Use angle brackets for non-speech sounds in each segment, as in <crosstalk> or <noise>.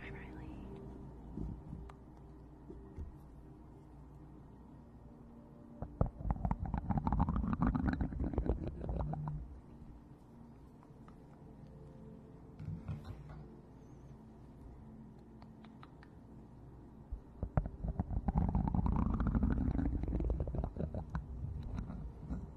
Hi, Riley.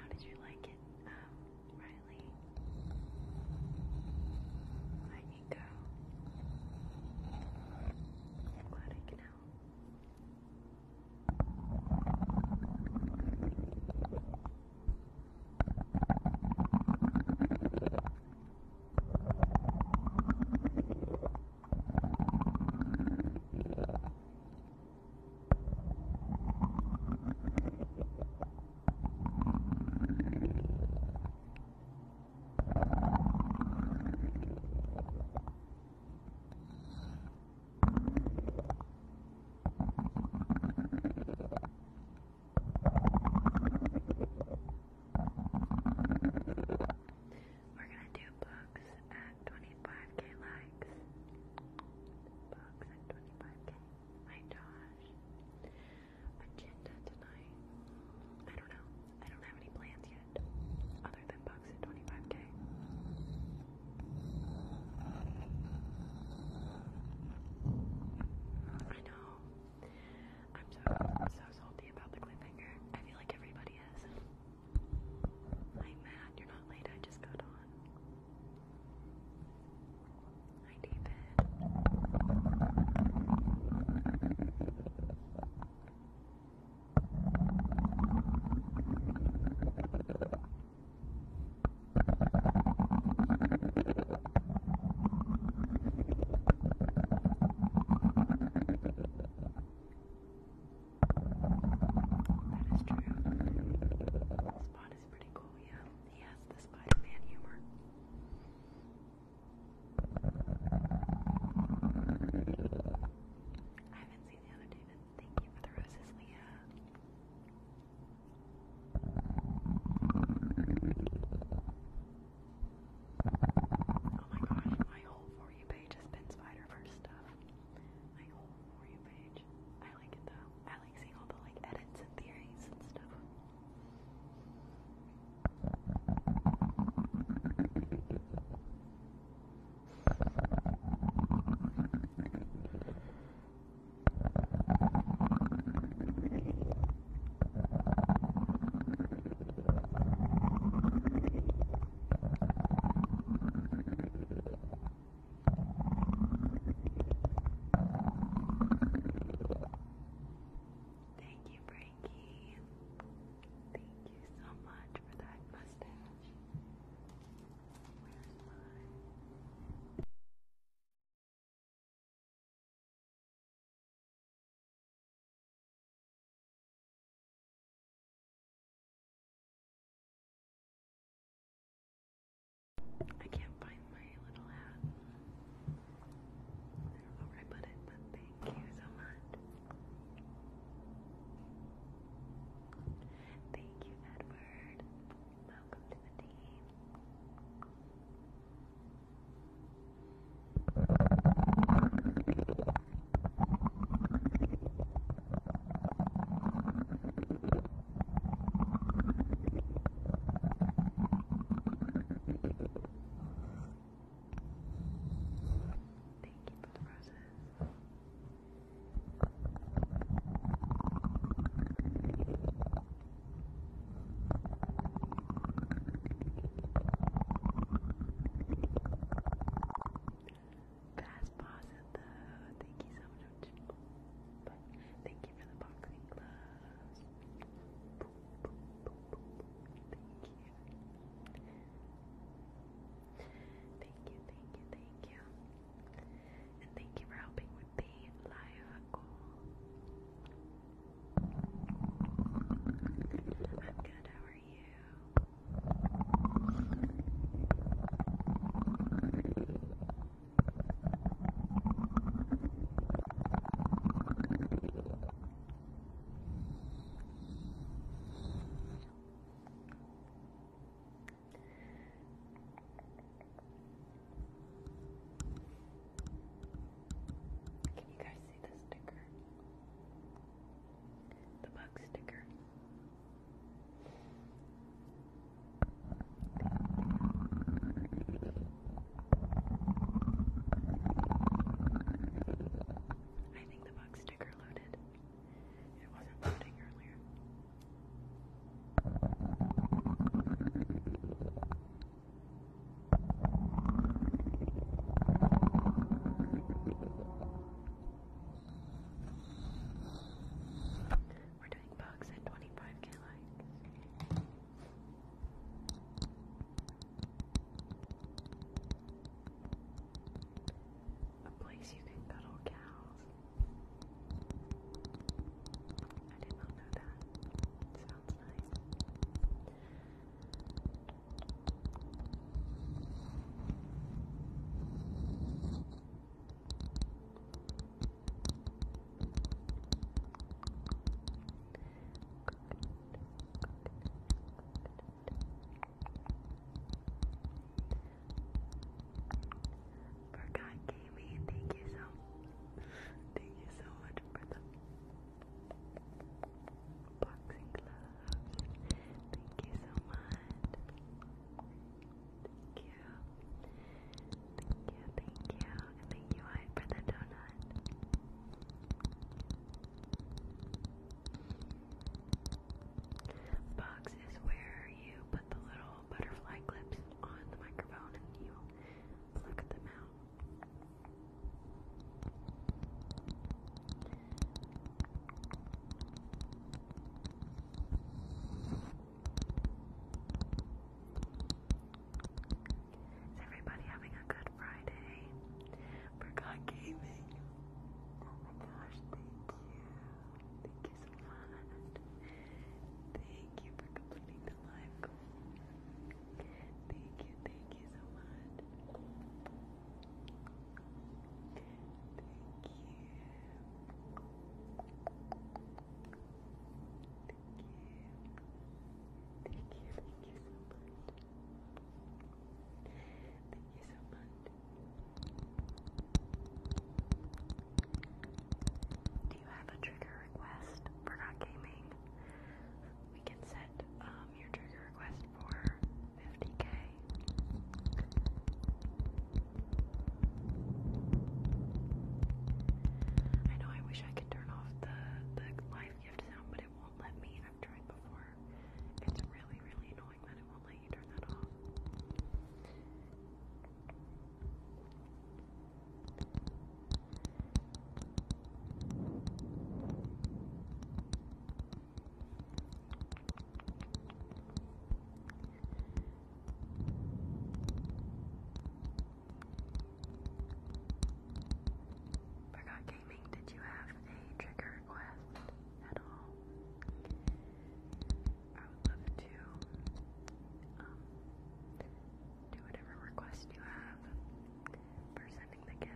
How did you like it, um, Riley? I need go. glad I can help. We're going to do books at 25k likes. Bugs at 25k. My Josh. Agenda tonight. I don't know. I don't have any plans yet. Other than Bugs at 25k. I know. I'm so so salty about the cliffhanger. I feel like everybody is. I'm You're not late. I just got on. Hi, David. That is true is pretty cool, yeah. He has the Spider-Man humor. I haven't seen the other David. Thank you for the roses, Leah. Oh my gosh, my whole For You page has been Spider-Verse stuff. My whole For You page. I like it though. I like seeing all the like edits and theories and stuff. Thank you, Frankie. Thank you so much for that mustache. I can't find my little hat. I don't know where I put it, but thank you so much. Thank you, Edward. Welcome to the team. Thank you for the process. Fast pause Thank you so much. Bye. Thank you for the boxing gloves. Thank you. Thank you, thank you, thank you. for helping with the live goal. I'm good, how are you, can you guys see the sticker? The bug sticker. I think the box sticker loaded. It wasn't loading earlier. We're doing bugs at 25k likes. A place you can cuddle cows. I did not know that. Sounds nice. Forgot Gaming, thank you so thank you so much for the boxing gloves. Thank you so much. Thank you. Thank you, thank you. thank you, I, for the donut. Box is where you put the little butterfly clips on the microphone and you pluck them out. Is everybody having a good Friday? Forgot gaming. Oh my gosh, thank you. Thank you so much. Thank you for completing the live Thank you, thank you so much. Thank you. Do you have a trigger request for not gaming? We can set um, your trigger request for 50k. I know I wish I could turn off the, the live gift sound, but it won't let me. I've tried before. It's really, really annoying that it won't let you turn that off. Forgot gaming, did you have a trigger request at all? I would love to um, do whatever request you have for sending the gifts.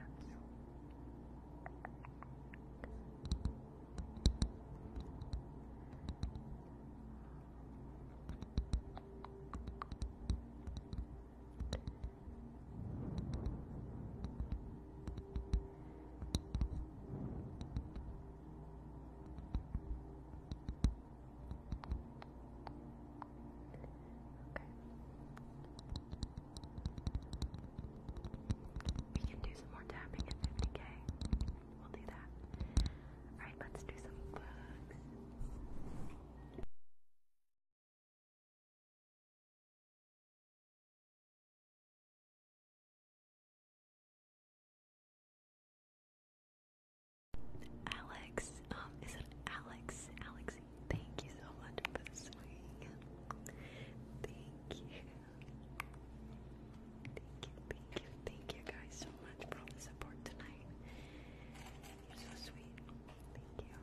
We can do some more tapping at 50k. We'll do that. Alright, let's do some books. Alex, um, is it Alex? Alex, thank you so much for the swing. Thank you. Thank you, Thank you, thank you guys so much for all the support tonight. You're so sweet. Thank you.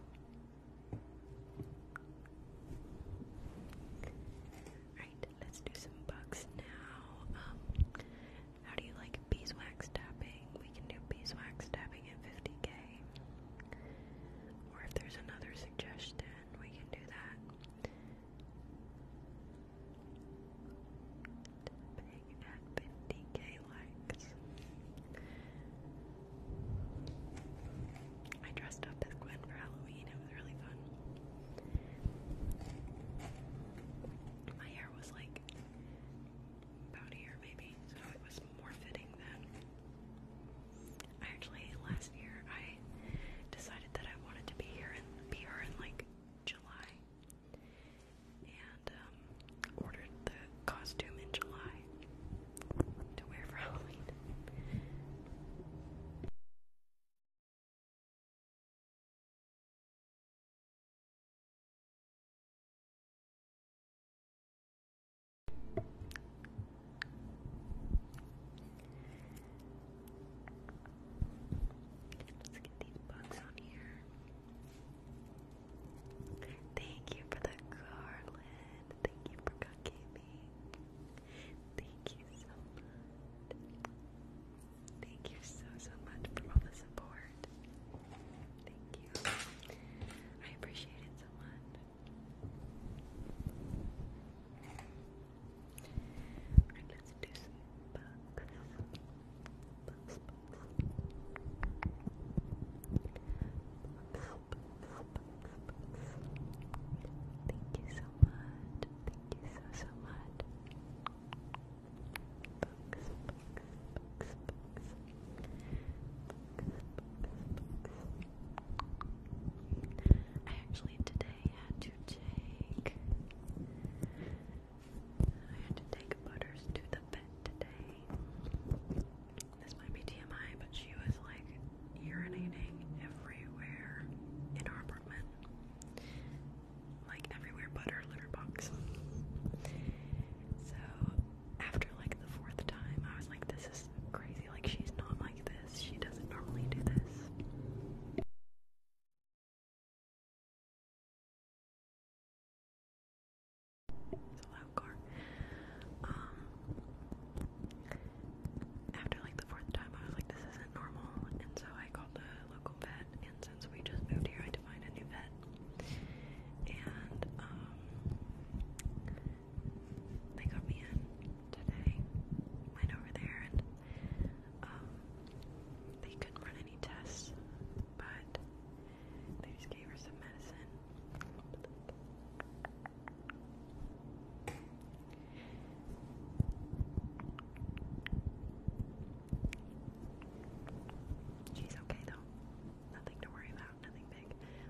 Alright, let's do some bugs now. Um, how do you like beeswax tapping? We can do beeswax tapping at 50k. Or if there's another suggestion, we can do that at 50k likes. I dressed up as Gwen for Halloween. It was really fun. My hair was like about here, maybe, so it was more fitting then. I actually last year I decided that I wanted to be here and be her in like July, and um, ordered the costume in July to wear for <laughs> Halloween. Let's get these bugs on here. Thank you for the garland. Thank you for cooking Thank you so much. Thank you so, so much for all the support. Thank you. I appreciate so much. Thank you so much. Thank you so, so much. I actually today had to take I had to take Butters to the vet today. This might be TMI, but she was like urinating everywhere in our apartment. Like everywhere but her litter box. So after like the fourth time, I was like, this is crazy. Like she's not like this. She doesn't normally do this. It's a um, after like the fourth time, I was like, this isn't normal, and so I called the local vet. And since we just moved here, I had to find a new vet. And um, they got me in today. Went over there, and um, they couldn't run any tests, but they just gave her some medicine. She's okay though. Nothing to worry about, nothing big.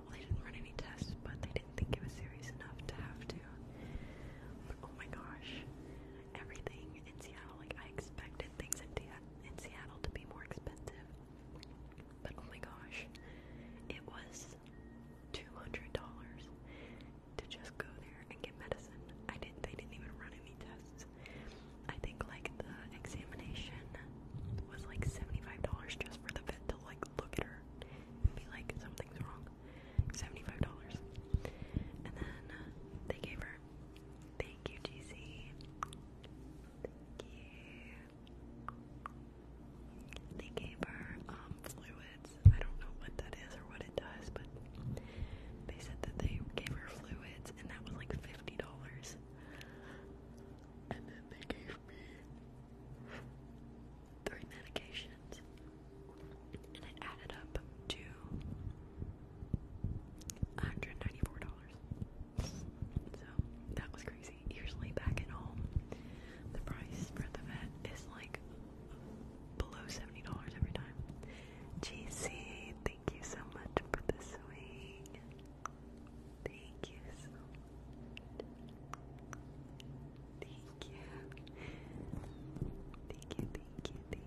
Well, they didn't run any tests, but they didn't think it was serious enough to have to. oh my gosh, everything in Seattle, like I expected expected things in, in Seattle to be more expensive. But oh my gosh, it was $200 to just go there and get medicine. I didn't, they didn't even run any tests. I think like the examination was like $75 just for the vet to like look at her and be like, something's wrong. $75. And then uh, they gave her, they Thank you, GC. Thank you. They gave her um, fluids. I don't know what that is or what it does, but they said that they gave her fluids, and that was like fifty dollars. And then they gave me three medications, and it added up to $194. So that was crazy. Usually back at home, the price for the vet is like below $70 every time. GC, thank you so much for the swing. Thank you Thank you. Thank you, thank you, thank you.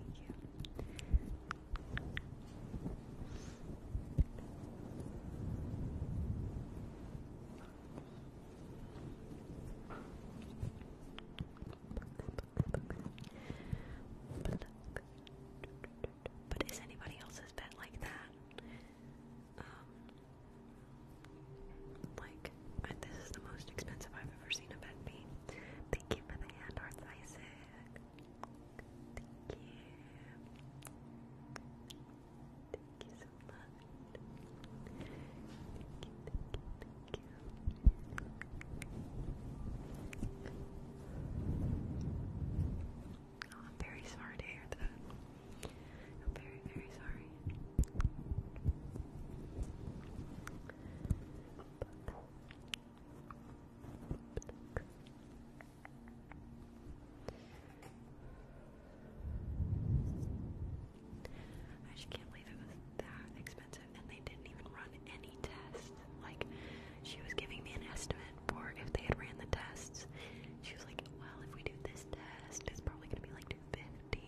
But is anybody else's pet like that? Um, like, this is the most expensive I've ever seen a pet be. Thank you for the hand arts, Isaac. Thank you. Thank you so much. Thank you, thank you, I'm very sorry to hear that. I'm very, very sorry. I just can't believe it was that expensive, and they didn't even run any tests. Like, she was giving me an estimate for if they had ran the tests. She was like, "Well, if we do this test, it's probably gonna be like 250,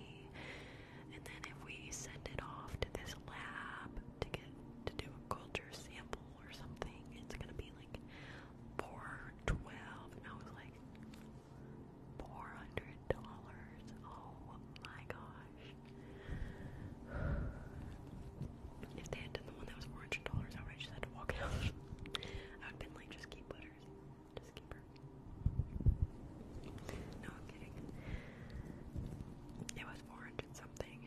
and then if we send it off to this lab to get to do a culture sample or something. It's gonna be like four twelve, and I was like four hundred dollars. Oh my gosh! If they had done the one that was four hundred dollars, I would just had to walk out. <laughs> I would been like, just keep butters, just keep No, I'm kidding. It was four hundred something.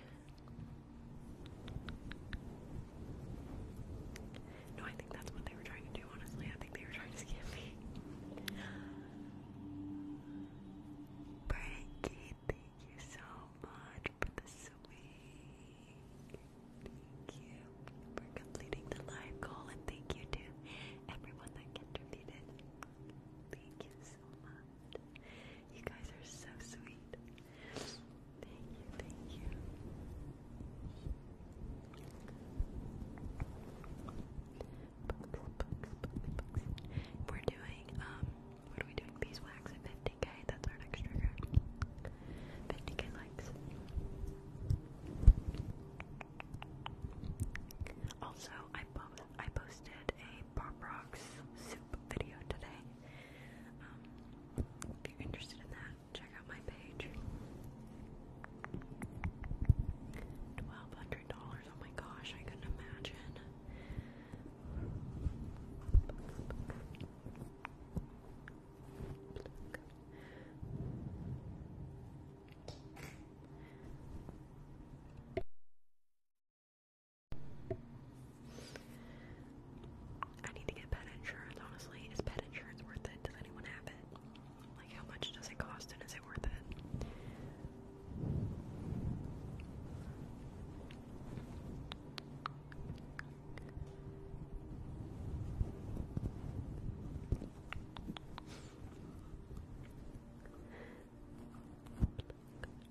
No, I think that's what they were trying to do, honestly. I think they were trying to scam me. Breaky, thank you so much for the sweet. Thank you for completing the live goal, and thank you to everyone that contributed. Thank you so much. You guys are so sweet. Thank you, thank you. We're doing, um, what are we doing? Beeswax at 50k, that's our next trigger. 50k likes. Also, I posted a Pop Rocks soup video today. Um, if you're interested in that, check out my page. Twelve hundred dollars. Oh my gosh, I couldn't imagine. I need to get pet insurance, honestly. Is pet insurance worth it? Does anyone have it? Like, how much does it cost and is it worth it?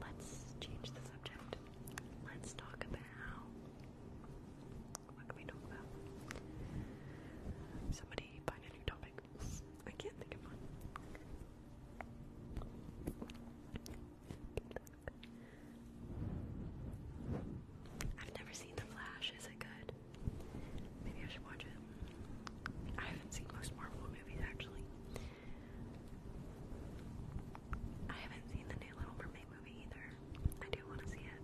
Let's change the subject. Let's talk about what can we talk about? Somebody find a new topic. I can't think of one. I've never seen The Flash. Is it good? Maybe I should watch it. I haven't seen most Marvel movies actually. I haven't seen the new Little Mermaid movie either. I do want to see it.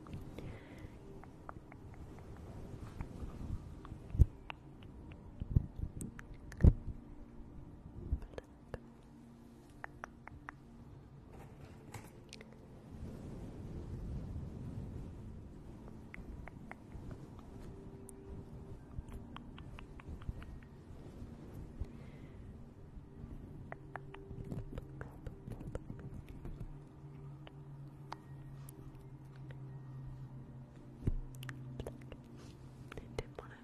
Didn't want to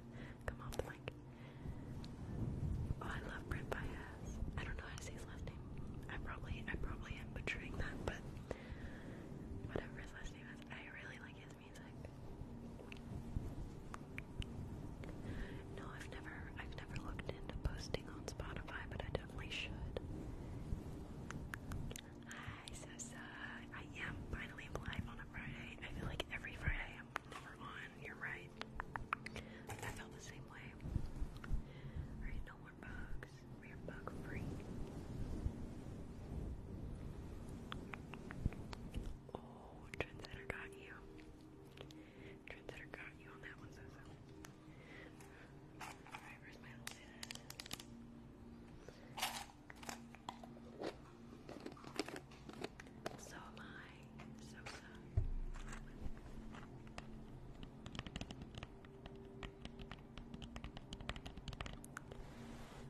come off the Oh, I love Brent I don't know how to say his last name. I probably I probably am butchering that, but whatever his last name is, I really like his music. No, I've never I've never looked into posting on Spotify, but I definitely should. Hi, Sosa. I am finally live on a Friday. I feel like every Friday I'm never on. You're right. I felt the same way. Alright, no we're bug free. Oh, Trendsetter got you. Trendsetter got you on that one, so so. am I. So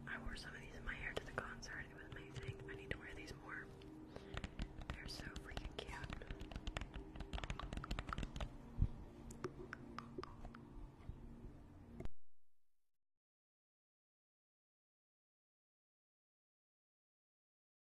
I wore some of these in my hair to the concert. It was amazing. I need to wear these more. They're so freaking cute.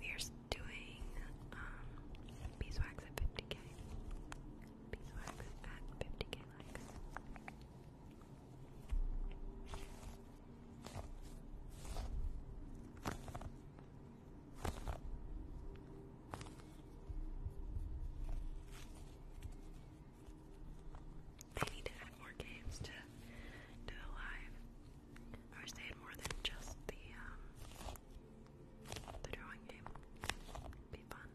We're doing um, beeswax at 50k. Beeswax at 50k they need to add more games to to the live. I wish they had more than just the um, the drawing game. be fun.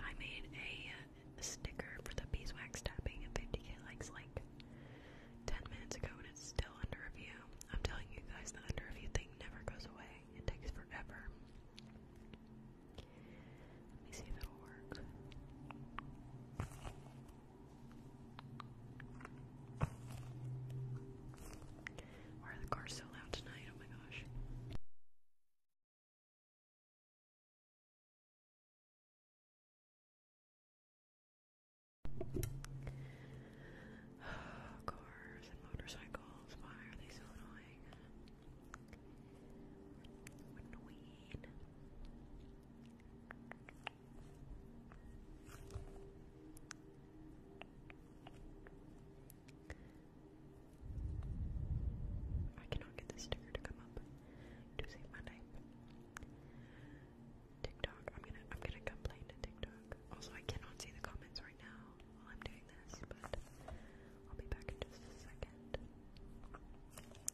I made a uh, sticker for the beeswax tapping at 50k likes like 10 minutes ago and it's still under review. I'm telling you guys, the under review thing never goes away, it takes forever. Let me see if it'll work. Why are the cars so loud tonight? Oh my gosh. <sighs> cars and motorcycles, why are they so annoying? Annoying. I cannot get the sticker to come up to save my life. TikTok, I'm gonna I'm gonna complain to TikTok. Also I cannot see the comments right now while I'm doing this, but I'll be back in just a second.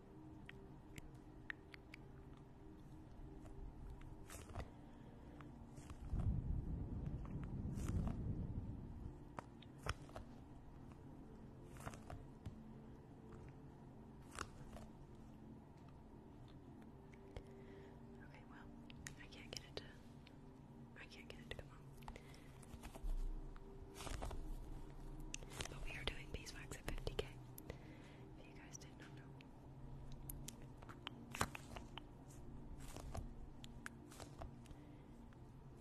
Okay, well, I can't get it to I can't get it to come on. But we are doing beeswax at 50k. If you guys did not know.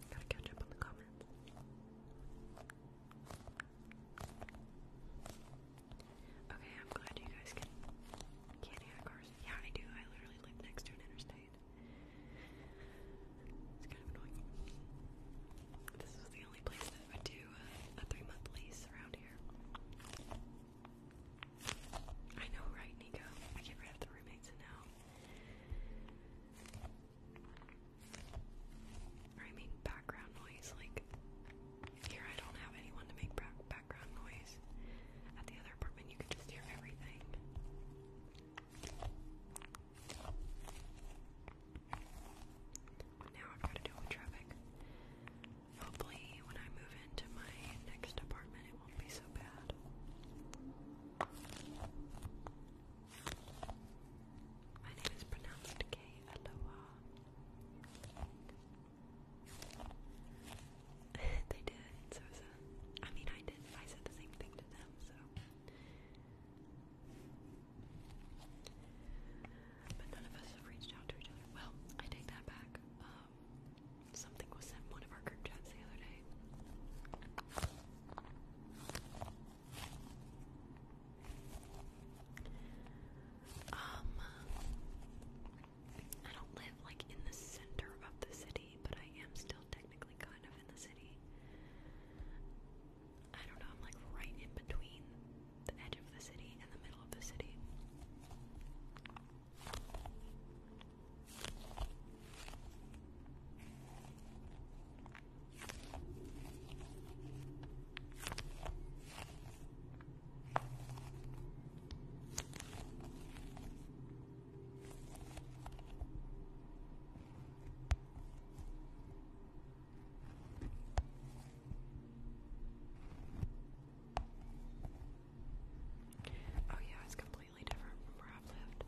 Gotta catch up on the comments. Okay, I'm glad you guys can can cars. Yeah, I do. I literally live next to an interstate. This was the only place that would do a, three month lease around here. I know, right, Nico? I get rid of the roommates now. I mean, background noise. Like, here I don't have anyone to make background noise. At the other apartment, you could just hear everything. Now I've got to deal with traffic. Hopefully, when I move into my next apartment, it won't be so bad. My name is pronounced K Aloha. <laughs> they did, so mean, I did. I said the same thing to them, so. But none of us have reached out to each other. Well, I take that back. Um, something was sent one of our group chats the other day. Um, I don't live like in the center of the city, but I am still technically kind of in the city. I don't know, I'm like right in between the edge of the city and the middle of the city. Oh, yeah, it's completely different from where I've lived.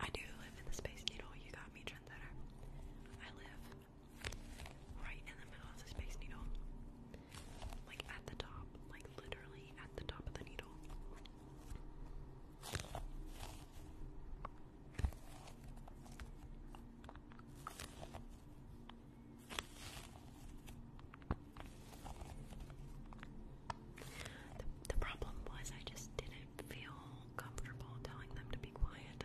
I do live in the Space Needle. You got me, Trent I live right in the middle of the Space Needle. Like at the top. Like literally at the top of the needle. The, problem was I just didn't feel comfortable telling them to be quiet.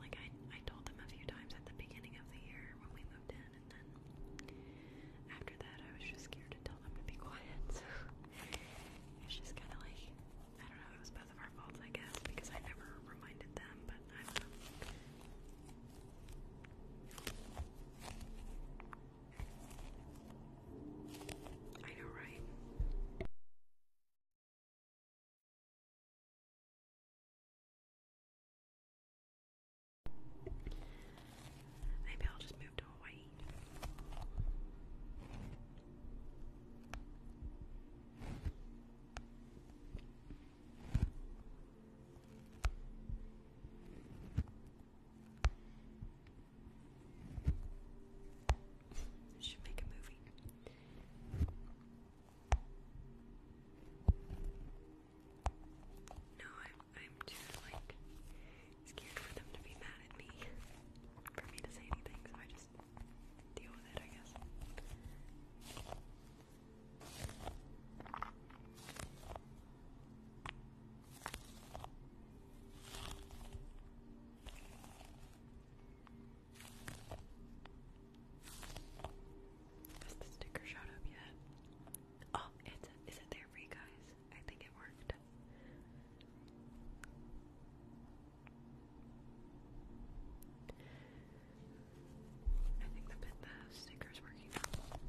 Like I, I told them a few times at the beginning of the year when we moved in, and then after that I was just scared to tell them to be quiet. So <laughs> it's just kind of like I don't know, it was both of our faults, I guess, because I never reminded them, but I do know, right? Maybe I'll just move to Hawaii. Should make a movie. No, I'm I'm just like scared for them to be mad at me. For me to say anything, I just deal with it, I guess. Has the sticker showed up yet? Oh, it's is it there for you guys? I think it worked. I think the bit the sticker's working out.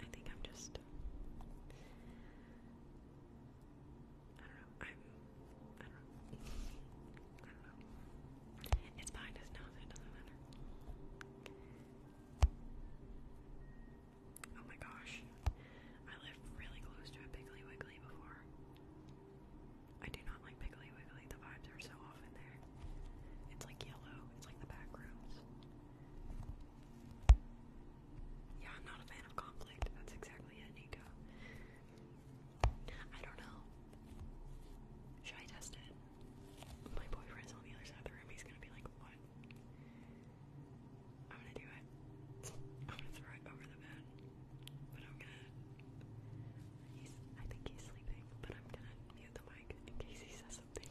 I think I'm just I don't know. I'm. I don't know. I do not know. It's behind us now, so it doesn't matter. Oh my gosh. I lived really close to a Piggly Wiggly before. I do not like Piggly Wiggly. The vibes are so off in there. It's like yellow. It's like the back rooms. Yeah, I'm not a fan of conflict. That's exactly it, Nico. I don't know. Should I test it? My boyfriend's on the other side of the room. He's gonna be like, what? I'm gonna do it. I'm gonna throw it over the bed. But I'm gonna. He's, I think he's sleeping, but I'm gonna mute the mic in case he says something.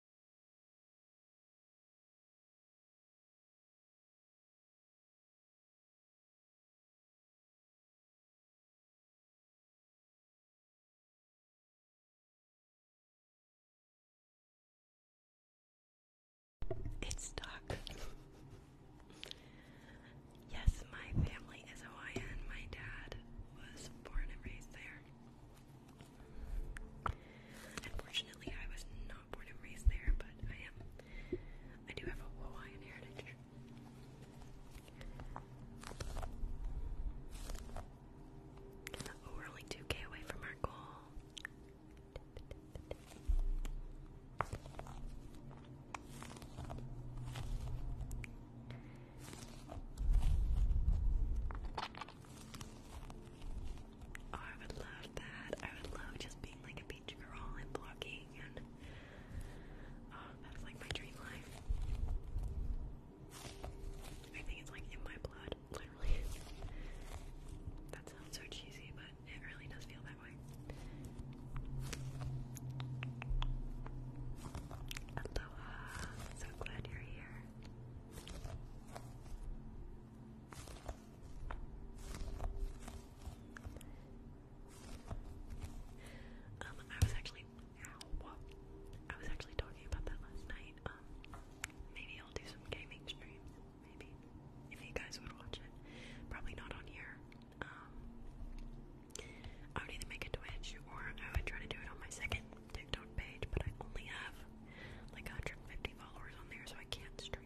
It's stuck. yes, my family is Hawaiian. My dad was born and raised there. Unfortunately, I was not born and raised there, but I am. I do have a Hawaiian heritage. Oh, we're only 2k away from our goal. Oh, I would love that. I would love just being like a beach girl and blogging and oh, that's like my dream life. I think it's like in my blood, literally. that sounds so cheesy, but it really does feel that way. Aloha, so glad you're here. Um, I was actually, I was actually talking about that last night. Um, maybe I'll do some gaming streams, maybe, if you guys would watch it. Probably not on here. Um, I would either make a Twitch or I would try to do it on my second TikTok page, but I only have like 150 followers on there, so I can't stream.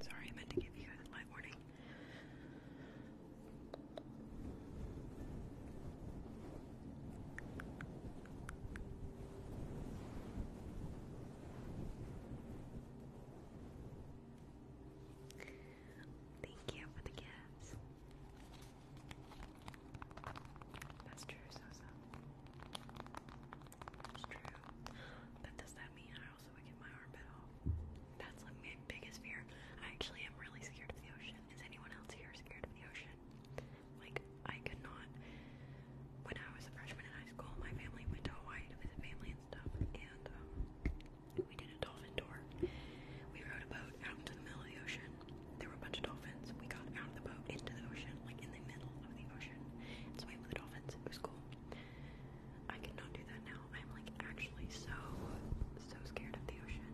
Sorry, I meant to give you a light warning. Thank you for the gifts. That's true, so That's true. But does that mean I also would get my arm bit That's like my biggest fear. I actually am really scared of the ocean. Is anyone else here scared of the ocean? Like I could not when I was a freshman in high school, my family went to Hawaii to visit family and stuff, and um, we did a dolphin tour. We rode a boat out into the middle of the ocean. There were a bunch of dolphins. We got out of the boat into the ocean, like in the middle of the ocean, and swam with the dolphins. It was cool. I cannot do that now. I'm like actually so, so scared of the ocean.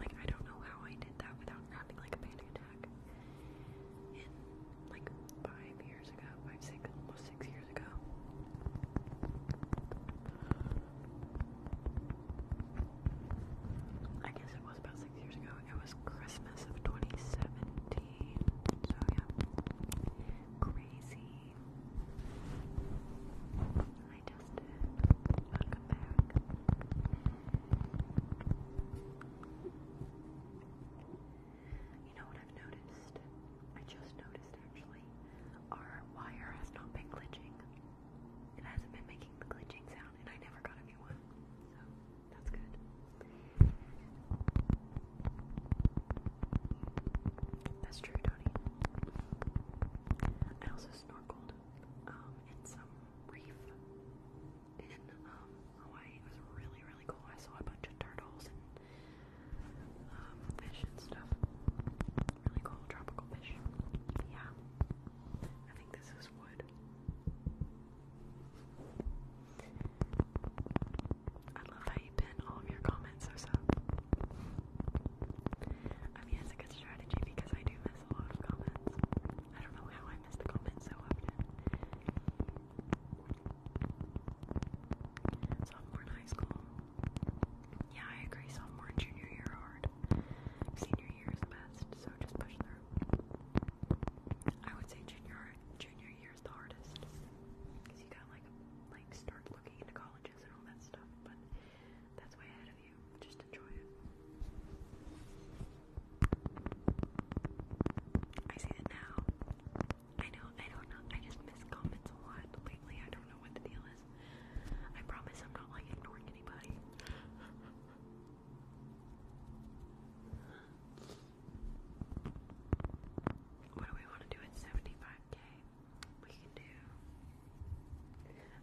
Like I don't know how I did that without having like a panic attack like five years ago, five, six, almost six years ago. I guess it was about six years ago. It was Christmas of 2017. So yeah. Crazy. I just Welcome back. You know what I've noticed? I just noticed actually. Our wire has not been glitching. It hasn't been making the glitching sound, and I never got a new one. So that's good. That's true, Tony. I also snorkeled um, in some reef in um, Hawaii. It was really, really cool. I saw a bunch of turtles and um, fish and stuff. Really cool tropical fish. Yeah. I think this is wood. I love how you pin all of your comments, so I mean, it's a good strategy because I do miss a lot of comments. I don't know how I miss the comments so often. Sophomore in high school. Yeah, I agree. Sophomore junior year hard. Senior year is the best, so just push through. I would say junior junior year is the hardest because you got like like start looking into colleges and all that stuff. But that's way ahead of you. Just enjoy it. I see it now. I know, I don't know. I just miss comments a lot lately. I don't know what the deal is. I promise I'm not like ignoring anybody. What do we want to do at 75k? We can do.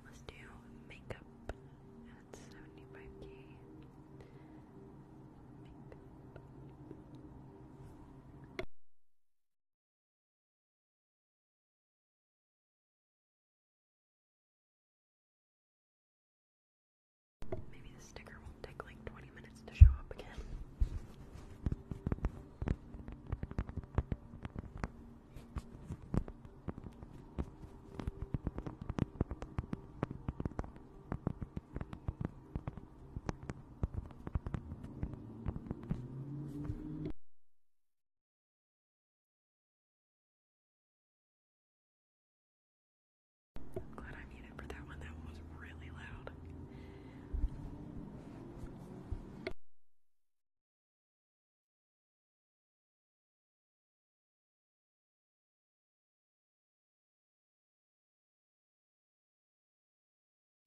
Let's do makeup at 75k. Maybe the sticker will take like 20 minutes to show up again. I'm glad I muted for that one. That one was really loud.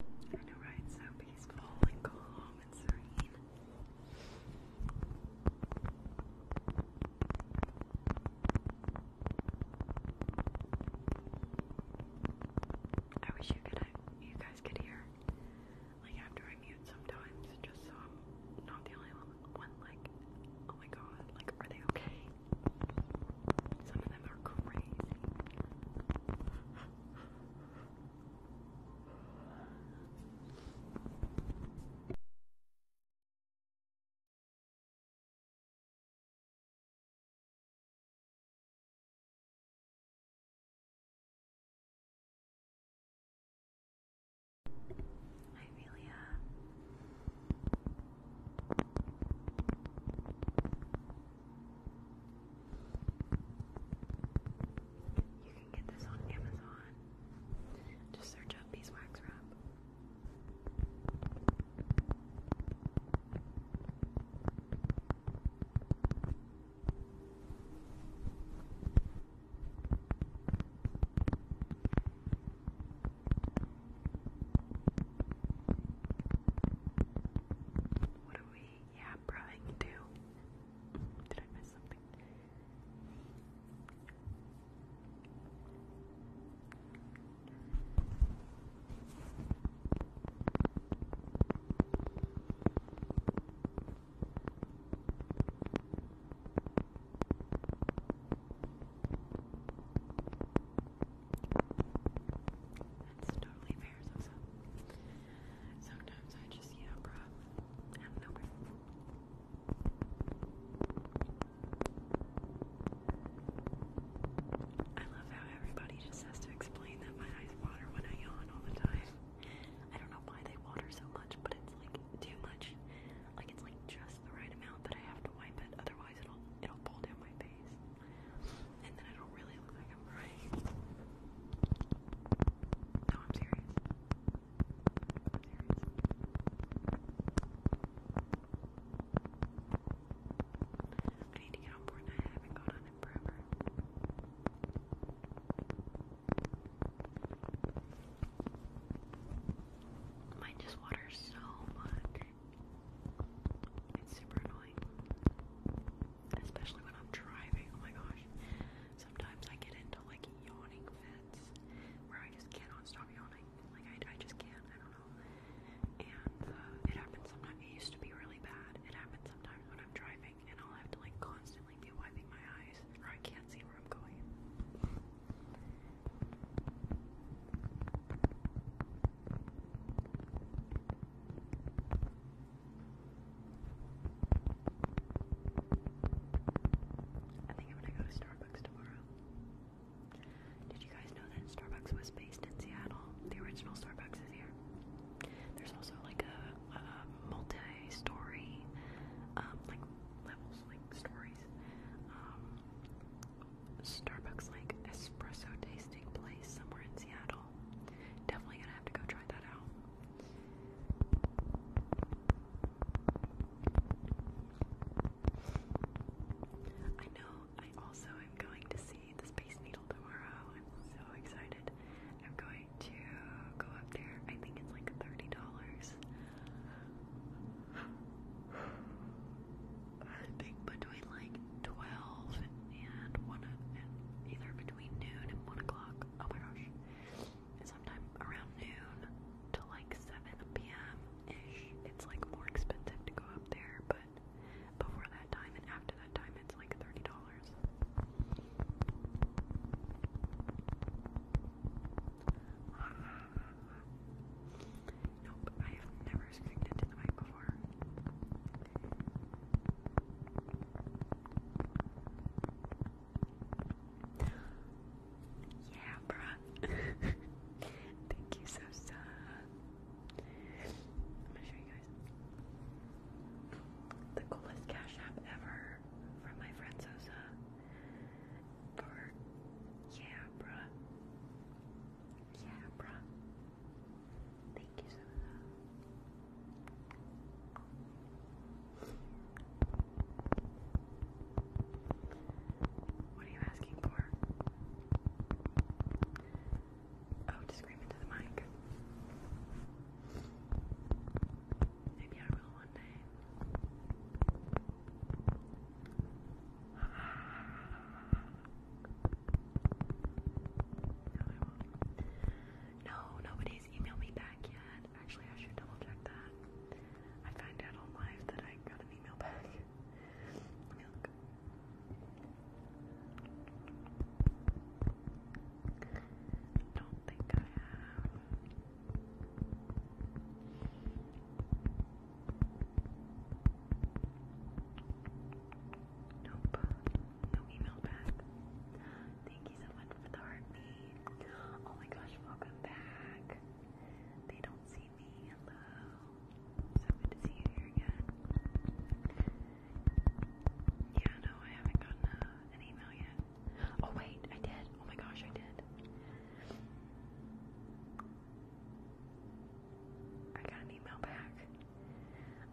I know, right? So peaceful and calm and serene. I wish you could, you guys could hear, like after I mute sometimes, just so I'm not the only one one like, oh my god, like are they okay? Some of them are crazy. You can get this on Amazon. Just search up beeswax wrap. What are we, yeah, probing to? Did I miss something? That's totally fair, so sometimes I just, you know, grab out of nowhere. I love how everybody just has to explain that my eyes water when I yawn all the time. I don't know why they water so much, but it's like too much. Like it's like just the right amount that I have to wipe it, otherwise it'll it'll pull down my face. And then it'll really look like I'm crying. No, I'm serious. i need to get on board I haven't gone on it forever. Mine just waters so much. It's super annoying. Especially when I'm driving. Oh my gosh. Sometimes I get into like yawning fits where I just cannot stop yawning. Like I, I just can't. I don't know. And uh, it happens sometimes. It used to be really bad. It happens sometimes when I'm driving and I'll have to like constantly be wiping my eyes or I can't see where I'm going. I think I'm gonna go to Starbucks tomorrow. Did you guys know that Starbucks was based in Seattle? The original Starbucks is here. There's also like a, multi-story, um, like levels, like stories. Um, Starbucks like espresso tasting place somewhere in Seattle. Definitely gonna have to go try that out. I know I also am going to see the Space Needle tomorrow. I'm so excited. I'm going to go up there. I think it's like $30. I think between like 12 and 1, either between noon and 1 o'clock, oh my gosh, and sometime around noon to like 7 p.m.-ish, it's like more expensive to go up there, but before that time and after that time, it's like $30. Nope, I have never screamed into the mic before. Yeah, bruh. <laughs> Thank you, Sosa. I'm gonna show you guys the coolest Cash App ever from my friend Sosa yeah, bruh. Yeah, bruh. Thank you so much. What are you asking for? Oh, to scream into the mic. Maybe I will one day. No, I nobody's emailed me back yet. Actually, I should double check that. I find out on live that I got an email back. Let <laughs> me look. I don't think I have. Nope. No email back. Thank you so much for the heartbeat. Oh my gosh, welcome back. They don't see me. Hello. So good to see you here again. Yeah, no, I haven't gotten uh, an email yet. Oh wait, I did. Oh my gosh, I did. I got an email back.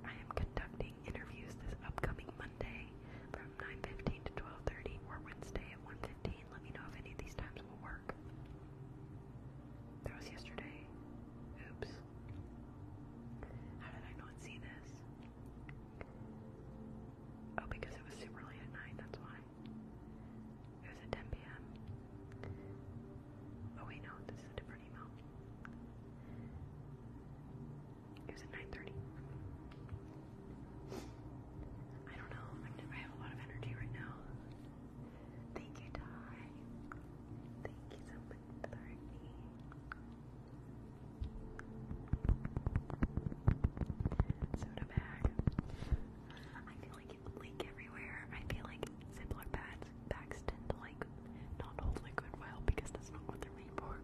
I am conducting interviews this upcoming Monday from 9.15 to 12.30 or Wednesday at 1.15. Let me know if any of these times will work. That was yesterday. Oops. How did I not see this? Oh, because it was super late at night, that's why. It was at 10 p.m. Oh wait, no, this is a different email. It was at 9:30. I don't know. i have a lot of energy right now. Thank you, Ty. Thank you so much for Soda bag. I feel like leak everywhere. I feel like Ziploc bags, bags tend to like not hold liquid well because that's not what they're made for.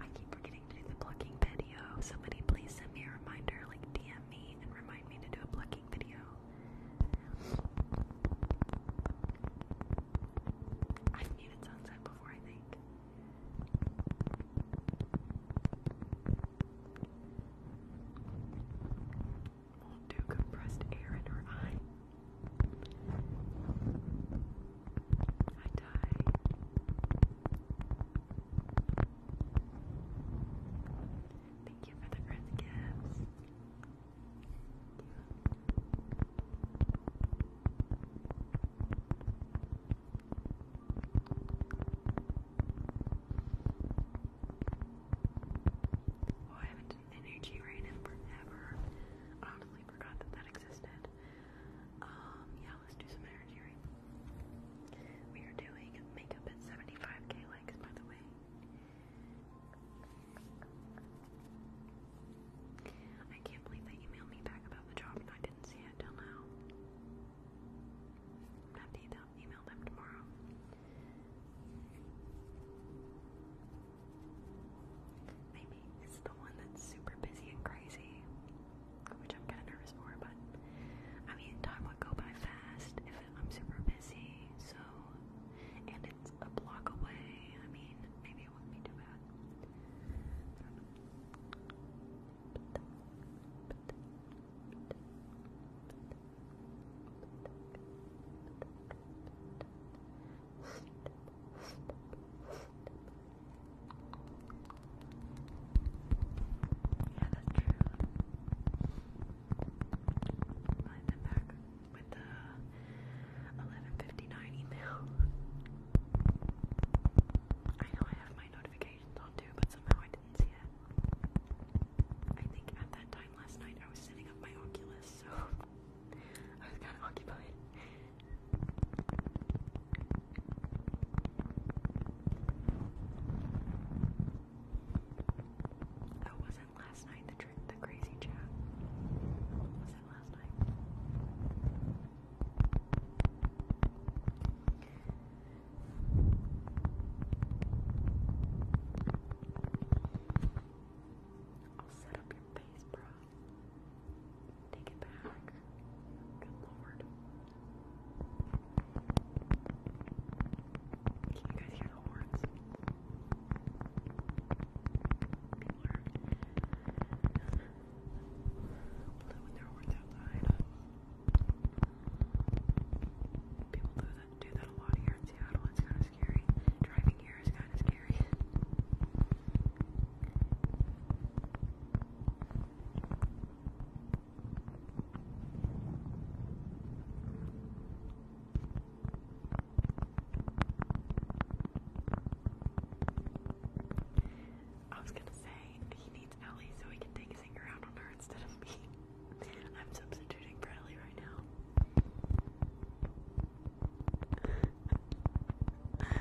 I keep forgetting to do the plucking video. Somebody please send me a reminder, like DM me and remind me to do a plucking video. I've muted sunset before, I think won't do compressed air in her eye. I die. Thank you for the earth gifts. Thank you. Oh, I haven't done energy rain in forever. I honestly forgot that that existed. Um, yeah, let's do some energy rain. We are doing makeup at 75k likes, by the way. I can't believe they emailed me back about the job and I didn't see it till now. I'm to email them tomorrow. Maybe it's the one that's super busy and crazy, which I'm kind of nervous for, but I mean, time would go by fast if I'm super busy, so, and it's a block away, I mean, maybe it wouldn't be too bad. Yeah, that's true. I them back with the eleven fifty nine email. <laughs> I know I have my notifications on too, but somehow I didn't see it. I think at that time last night I was setting up my Oculus, so <laughs> I was kind of occupied. That oh, wasn't last night, the, crazy chat. Was it last night? I'll set up your face, bro. Take it back. Good lord. Can you hear the horns? People are <laughs> blowing their horns outside. People do that, do that a lot here in Seattle. It's kind of scary. Driving here is kind of scary. I was gonna say he needs Ellie so he can take his anger out on her instead of me. I'm substituting Bradley right now. what?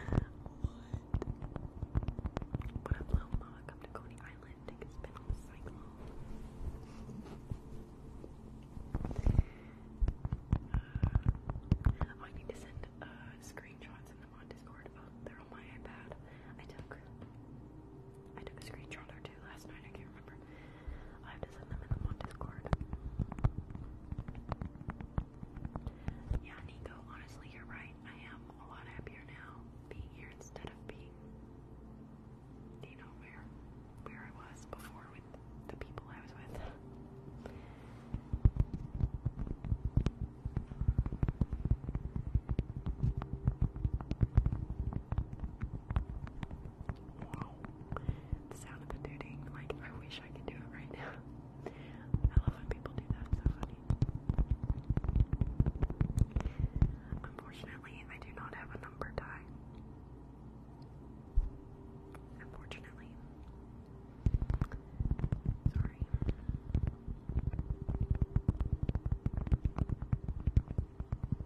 What up, little mama? Come to Coney Island. Take a spin on the cyclone. Uh, I need to send uh, screenshots in them on Discord. Oh, they're on my iPad. I took I took a screenshot or two last night. I can't remember I have to send them in on Discord. Yeah, Nico, honestly, you're right. I am a lot happier now being here instead of being, you know, where, where I was before with the people I was with. Wow. The sound of the tooting, like, I wish I could do it right now. I love when people do that, so funny. Unfortunately, I do not have a number tie. Unfortunately. Sorry.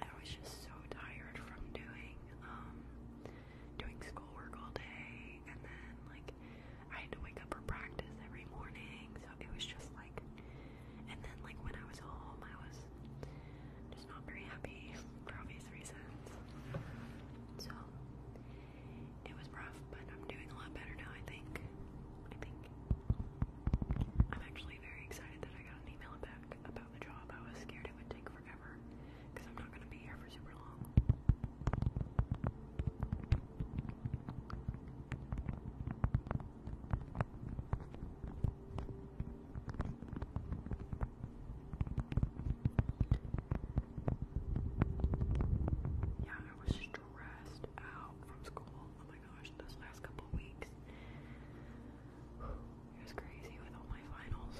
I was just so tired from doing um, doing schoolwork all day and then like I had to wake up for practice every morning, so it was just like and then like when I was home I was just not very happy for obvious reasons. So it was rough, but I'm doing a lot better now I think. I think I'm actually very excited that I got an email about about the job. I was scared it would take forever because I'm not going to be here for super long. Yeah, I was stressed out from school gosh, those last couple weeks. It was crazy with all my finals.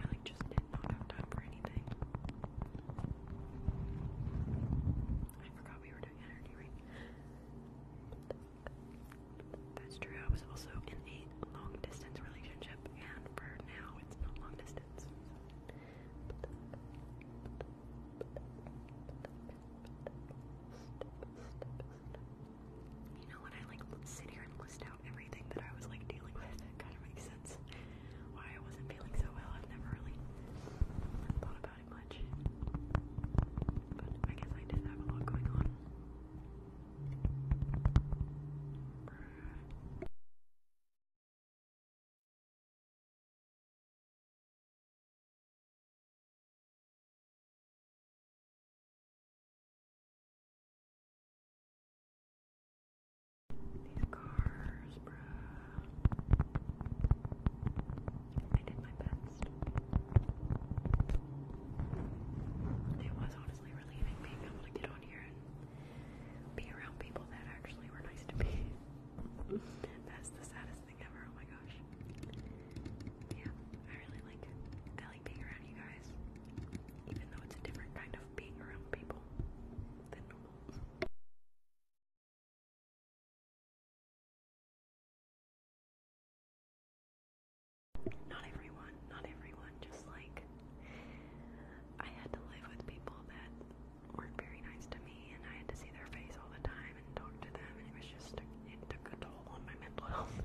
I like just did not have time for anything. I forgot we were doing energy That's true. I was also in a long distance relationship, and for now it's not long distance. You know, when I like sit here and list out everything that I was like dealing with, it kind of makes sense why I wasn't feeling so well. I've never really thought about it much, but I guess I did have a lot going on. These cars, bruh. I did my best. It was honestly relieving being able to get on here and be around people that actually were nice to me. <laughs> <laughs> That's the saddest thing ever. Oh my gosh. Yeah, I really like it. I like being around you guys, even though it's a different kind of being around people than normal. Not everyone, not everyone, just like I had to live with people that weren't very nice to me, and I had to see their face all the time and talk to them, and it was just it took a toll on my mental health. <laughs>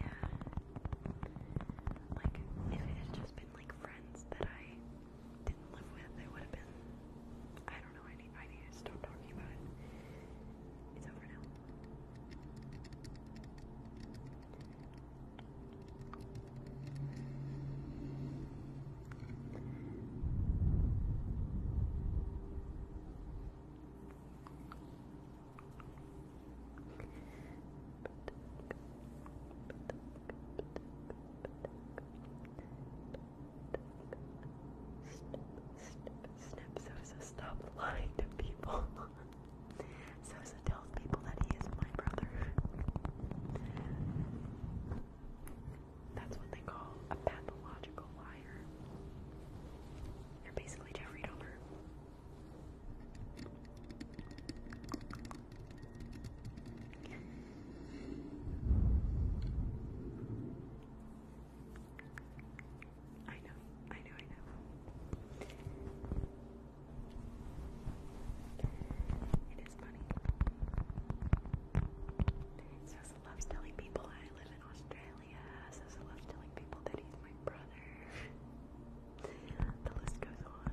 Yeah, like if it had just been like friends that I didn't live with, it would have been I don't I need, I need to stop talking about it. It's over now snip, snip. stop lying to people. <laughs> Sosa tells people that he is my brother. That's what they call a pathological liar. You're basically Jeffrey Dahmer. I know, I know, I know. It is funny. Cecil loves telling people I live in Australia. Cecil loves telling people that he's my brother. the list goes on.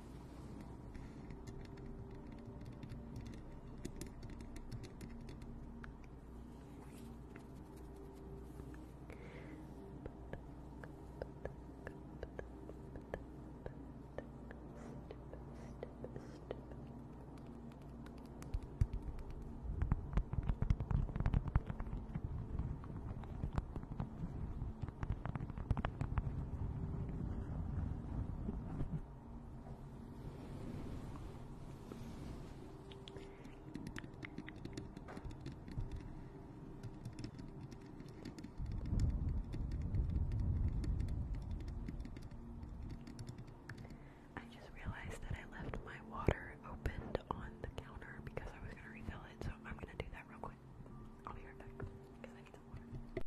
Step, step, step. I just realized that I left my water opened on the counter because I was going to refill it, so I'm going to do that real quick. I'll be right back because I need some water.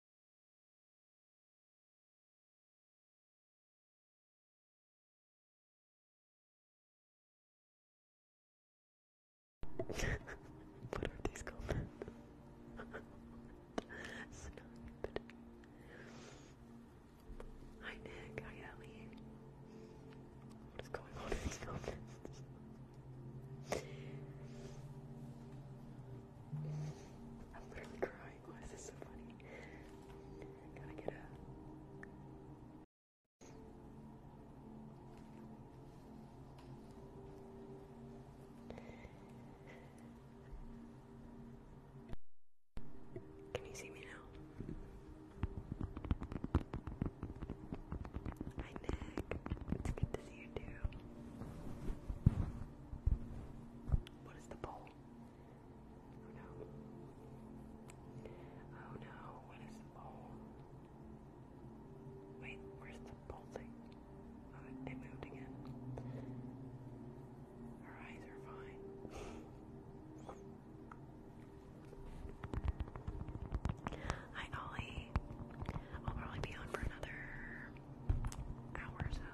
what are these called? Hi Nick, hi Ellie. What is going on in these comments? I'm literally crying. Why is this so funny? Can you see me now? Hi, Nick. It's good to see you What is the poll? Oh no. Oh no, what is oh wait, where's the bolting? Oh moved again. Her eyes are fine. <laughs> Hi Ollie. I'll probably be on for another hour or so.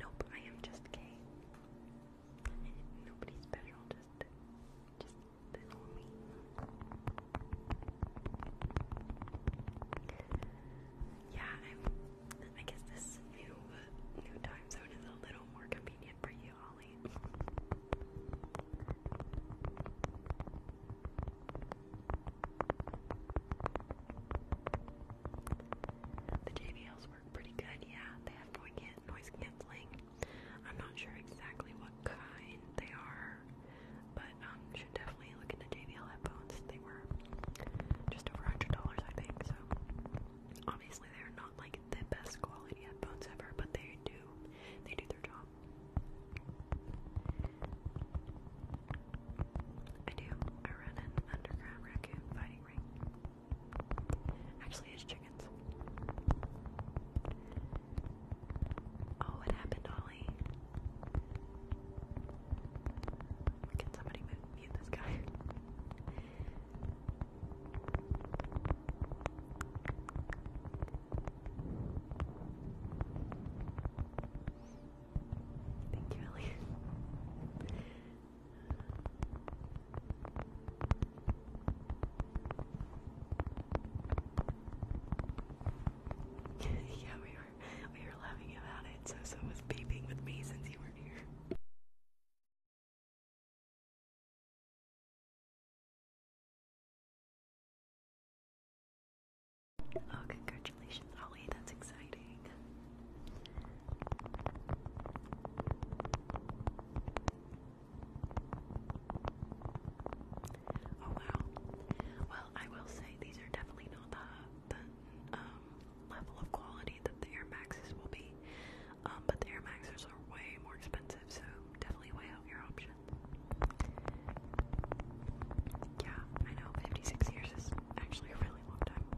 Nope, I am just gay. Nobody special, yeah, i guess this new new time zone is a little more convenient for you, Ollie. The JBLs work pretty good, yeah. They have noise canceling I'm not sure exactly what kind they are, but um, should definitely look into JBL headphones. They were just over $100, I think, so obviously they're not like the best quality headphones ever, but they do, they do their job. I do. I run an underground raccoon fighting ring. Actually, it's chickens. Oh, what happened, Ollie? Can somebody mute this guy? Thank you, Ellie. <laughs> yeah, we were we were laughing about it. So was beeping with me since you weren't here. Oh, congratulations, Ollie. That's exciting. Oh wow. Well, I will say these are definitely not the the um, level of quality that the Air Maxes will be, um, but the Air Maxes are way more expensive, so definitely weigh out your options. Yeah, I know. Fifty-six years is actually a really long time.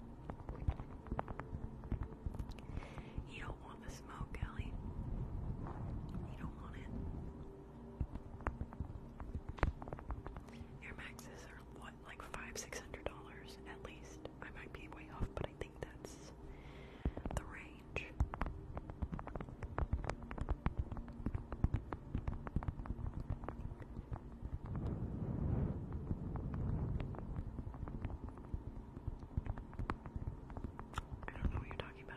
You don't want the smoke, Ellie. You don't want it. Air Maxes are what, like five, six hundred dollars at least. I might be way off, but I think that's the range. I don't know what you're talking about.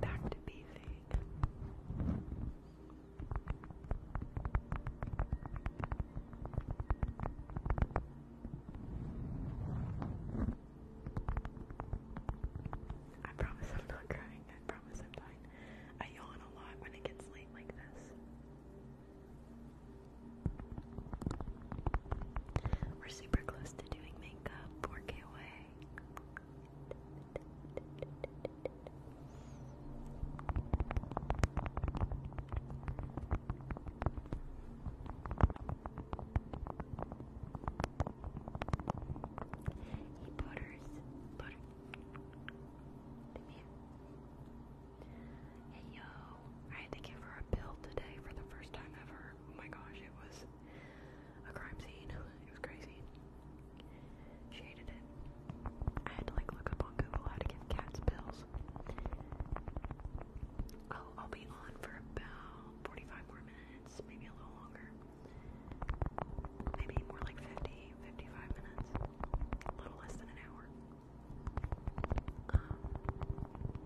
Back to beefing. I promise I'm not crying. I promise I'm fine. I yawn a lot when it gets late like this. We're super close to doing makeup 4K away. He butters butter. Come here. Hey yo, I had to give her a bill today for the first time ever. Oh my gosh, it was a crime scene. It was crazy. She it. I had to like look up on Google how to give cats bills. Oh, I'll be on for about 45 more minutes, maybe a little longer. Maybe more like 50, 55 minutes. A little less than an hour. Um,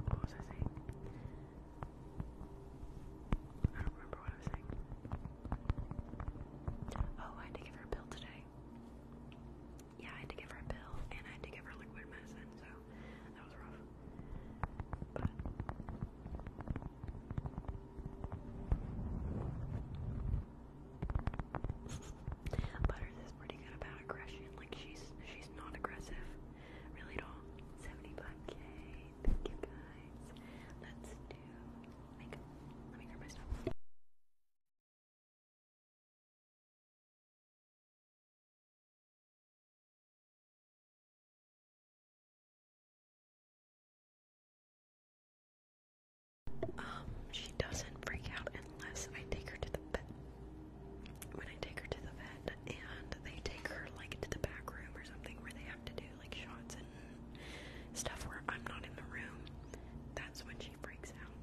what was I saying? I don't remember what I was saying. Oh, I had to give her a pill today. Yeah, I had to give her a pill and I had to give her liquid medicine, so that was rough. But Butters is pretty good about aggression. Like she's she's not aggressive, really at 75k. Thank you guys. Let's do Let me grab my stuff. Um, she doesn't freak out unless I take her to the vet when I take her to the vet and they take her like to the back room or something where they have to do like shots and stuff where I'm not in the room, that's when she breaks out.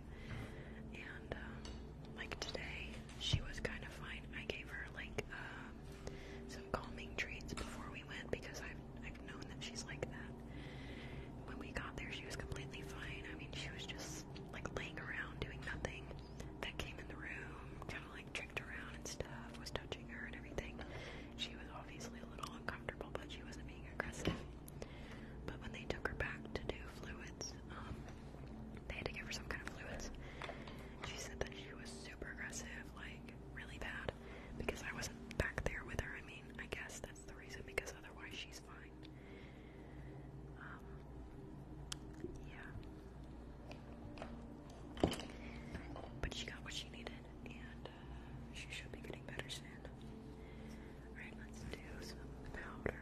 And um, like today, she was kind of fine. I gave her like um, some calming treats before we went because I've I've known that she's like that. When we got there, she was completely fine. I mean, she was just was like laying around doing nothing that came in the room, kind of like tricked around and stuff, was touching her and everything. She was obviously a little uncomfortable, but she wasn't being aggressive. But when they took her back to do fluids, um, they had to give her some kind of fluids. She said that she was super aggressive, like really bad, because I wasn't back there with her. I mean, I guess that's the reason, because otherwise she's fine time. Um, yeah. But she got what she needed, and uh, she should be getting better soon. Alright, let's do some powder.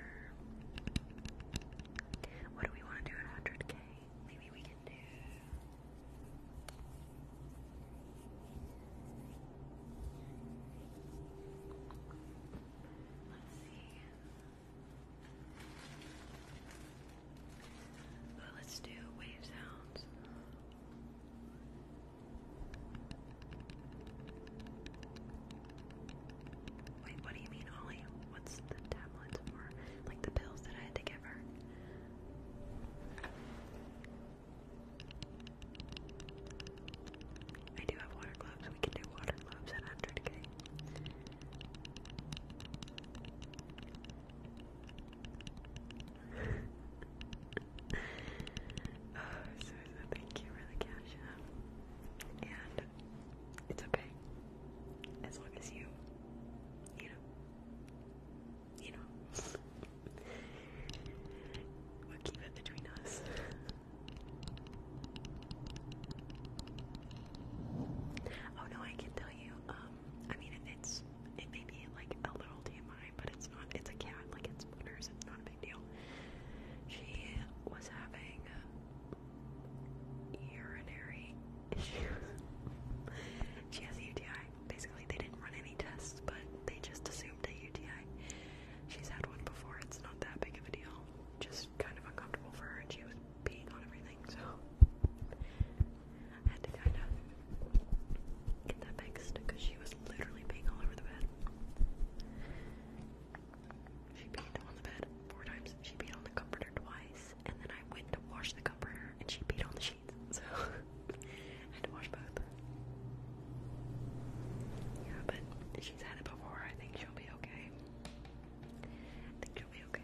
What do we want to do at 100k? Maybe we can do. Let's see let's do wave sounds. Wait, what do you mean, Ollie? What's the tablets for? Like the pills that I had to give her? I do have water gloves. We can do water gloves at 100k. <laughs> oh, so, thank you for the caption. And it's okay. As long as you, you know, you know, <laughs> we keep it between us. Oh no, I can tell you. Um, I mean, it's it may be like a little TMI, but it's not. It's a cat. Like it's splinters. It's not a big deal. She was having urinary issues. <laughs> she has UTI. Basically, they didn't run any tests, but they just assumed a UTI. She's had one before, it's not that big of a deal. Just kind of uncomfortable for her, and she was peeing on everything, so I had to kind of get that fixed because she was literally peeing all over the bed. She peed on the bed four times, she peed on the comforter twice, and then I went to wash the comforter and she peed on the sheets, so <laughs> I had to wash both. Yeah, but she's had it before, I think she'll be okay. I think you'll be okay.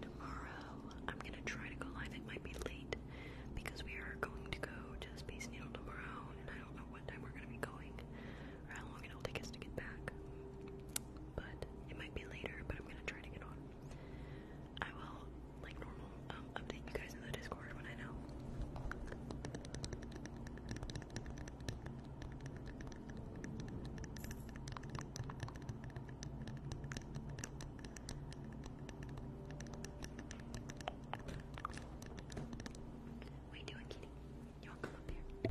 Tomorrow, I'm gonna try to go live. It might be late because we are going to go just the Needle tomorrow, and I don't know what time we're gonna be going or how long it'll take us to get back. But it might be later, but I'm gonna try to get on. I will, like normal, um, update you guys in the Discord when I know. What are you doing, kitty? You want to come up here?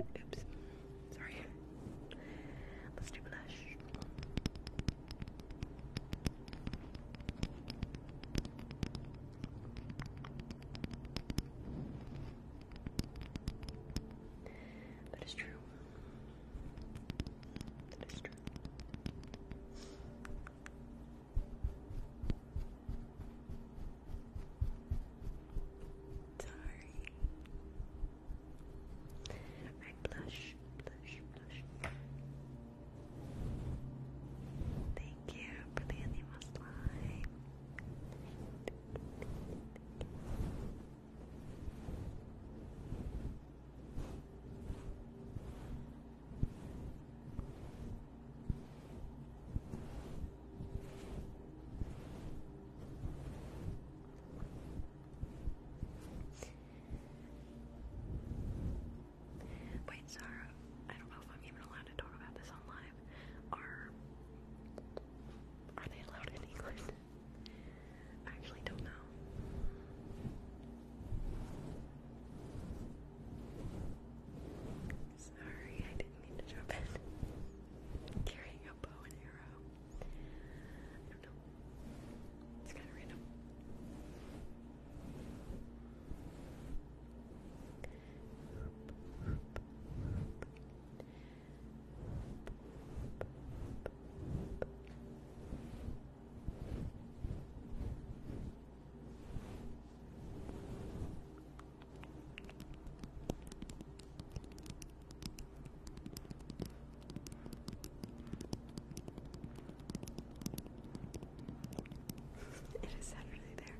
Oops. Sorry. Let's do blush. That is true. That is true. Sorry. I blush, blush, blush. Thank you for the animal slime. Wait, Sarah, I don't know if I'm even allowed to talk about this online are are they allowed in England? I actually don't know. Sorry, I didn't mean to jump in. Carrying a bow and arrow. I don't know. It's kind of random it is Saturday there.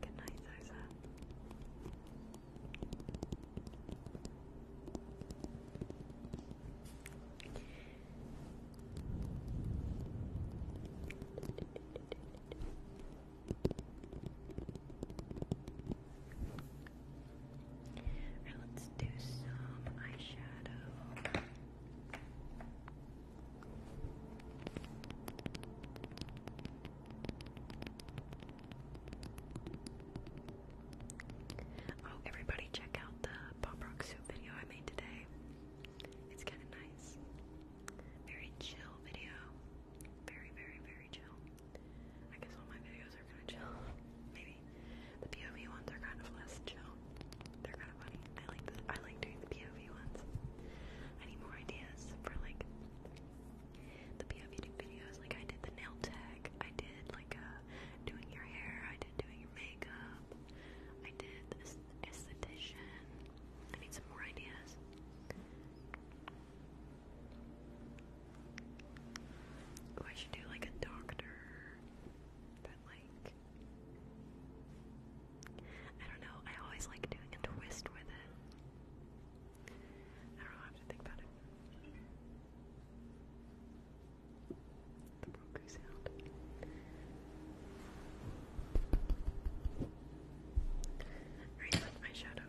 Good night, Zaza let's do some eyeshadow. Okay. Oh, everybody, check out the pop rock soup video I made today. It's kind of nice. Very chill video. Very, very, very chill. I guess all my videos are kind of chill. <laughs> Maybe the POV ones are kind of less chill. They're kind of funny. I like I like doing the POV ones. I need more ideas for like the PFD videos. Like I did the nail tech, I did like uh, doing your hair, I did doing your makeup, I did esthetician. I need some more ideas. Oh, I should do like a doctor, but like. I don't know, I always like doing a twist with it. I don't know, I have to think about it. The Roku sound. Right, my shadow.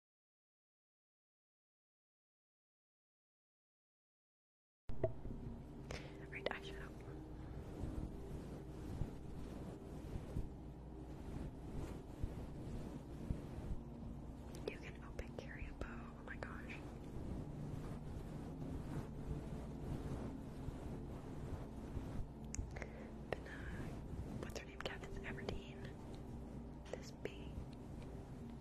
Alright, I shut up. You can open carry a bow. Oh my gosh. But, uh, what's her name? Katniss Everdeen. This bee.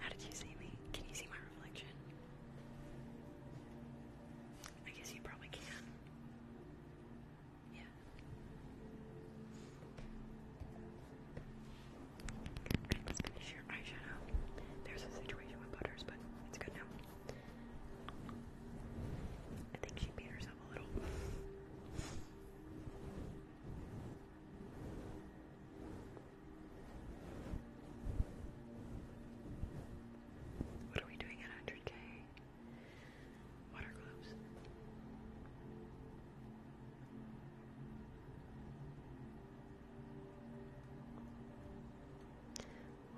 How did you see me? Can you see my reflection? I guess you probably can. Yeah. let's finish your eyeshadow. There's a situation with Butters, but it's good now. I think she beat herself a little. What are we doing at 100k? Water gloves.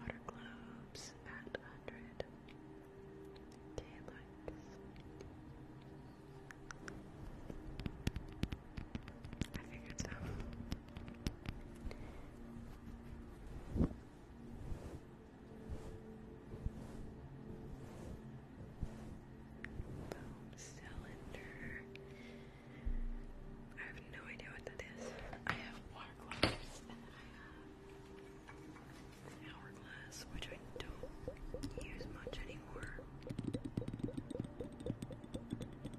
Water globes at 100 k likes. I figured so. Foam cylinder. I have no idea what that is. I have water gloves and I have an hourglass, which I don't use much anymore. Good night, Ellie.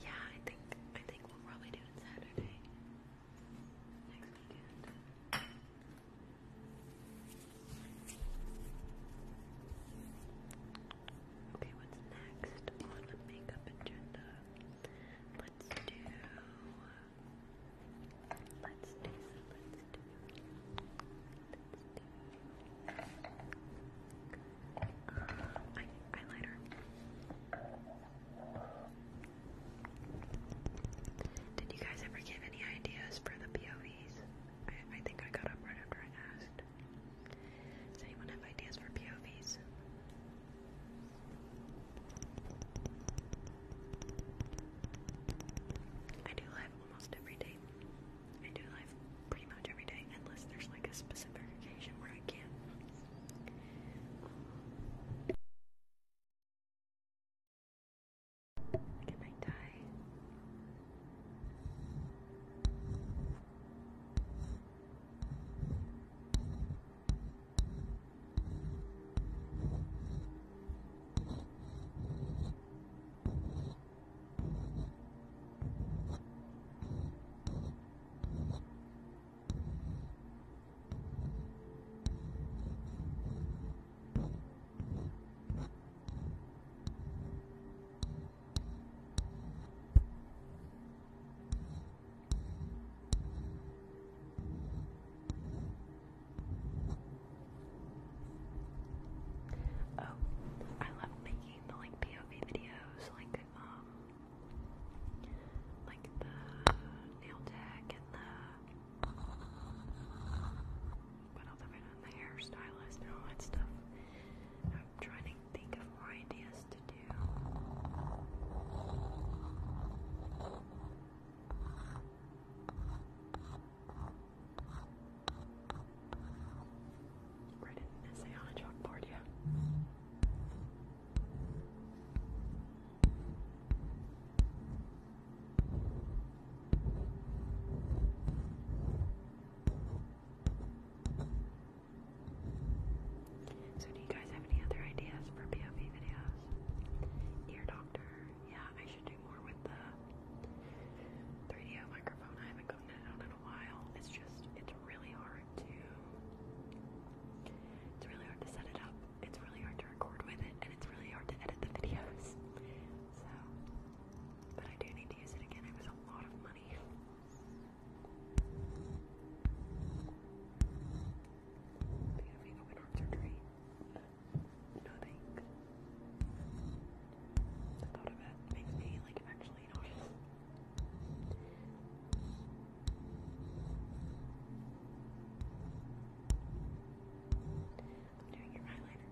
Yeah, I think I think we'll probably doing Saturday? Next weekend. Okay, what's next makeup agenda? Let's do. Let's do. Let's do. Let's do. Um, eyeliner. Did you guys ever give any ideas for the POVs? I, think I got up right after I asked. Does anyone have ideas for POVs? I do live almost every day. I do live pretty much every day, unless there's like a specific occasion where I can't. Look at my tie. Oh, I love making the like POV videos, like um, like the nail tech and the what else have done? The hairstylist and all that stuff. I'm trying to think of more ideas to do. Write an essay on a chalkboard, yeah. So, do you guys have any other ideas for POV videos? Ear doctor, yeah, I should do more with the 3DO microphone. I haven't gotten it out in a while. It's just, it's really hard. It's really hard to set it up. It's really hard to record with it, and it's really hard to edit the videos. So, but I do need to use it again. It was a lot of money. Are having open heart surgery? No The thought of it makes me like actually nauseous. I'm doing your eyeliner.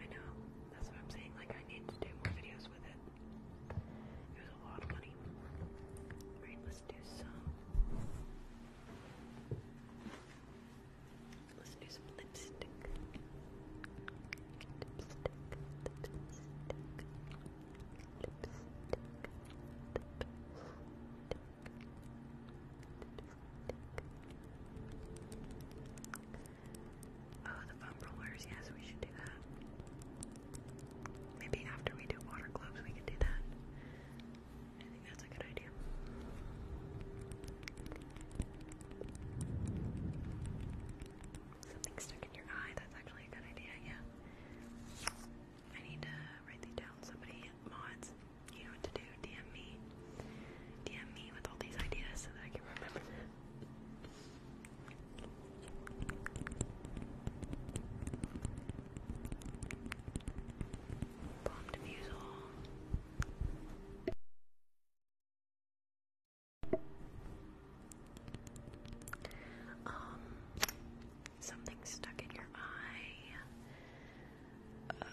I know that's what I'm saying. Like, I need to do more videos with it. It was a lot of money. Alright, let's do some. Let's do some lipstick. Lipstick. Lipstick. Lipstick. Lipstick. Oh, the foam rollers. Yes, we should do that. Maybe after we do water globes, we could do that. I think that's a good idea. Something stuck in your eye. That's actually a good idea. Yeah. I need to write these down. Somebody mods. You know what to do. DM me. DM me with all these ideas so that I can remember. Bomb diffusal. Um, something stuck in your eye. Uh,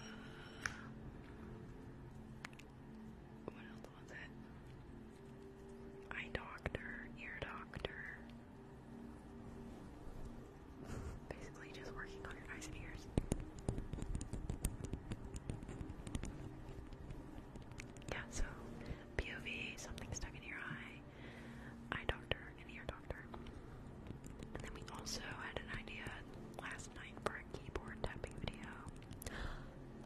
what else was it? eye doctor, ear doctor. Basically, just working on your eyes and ears. Yeah, so POV, something stuck in your eye, eye doctor, and ear doctor. And then we also had an idea last night for a keyboard tapping video.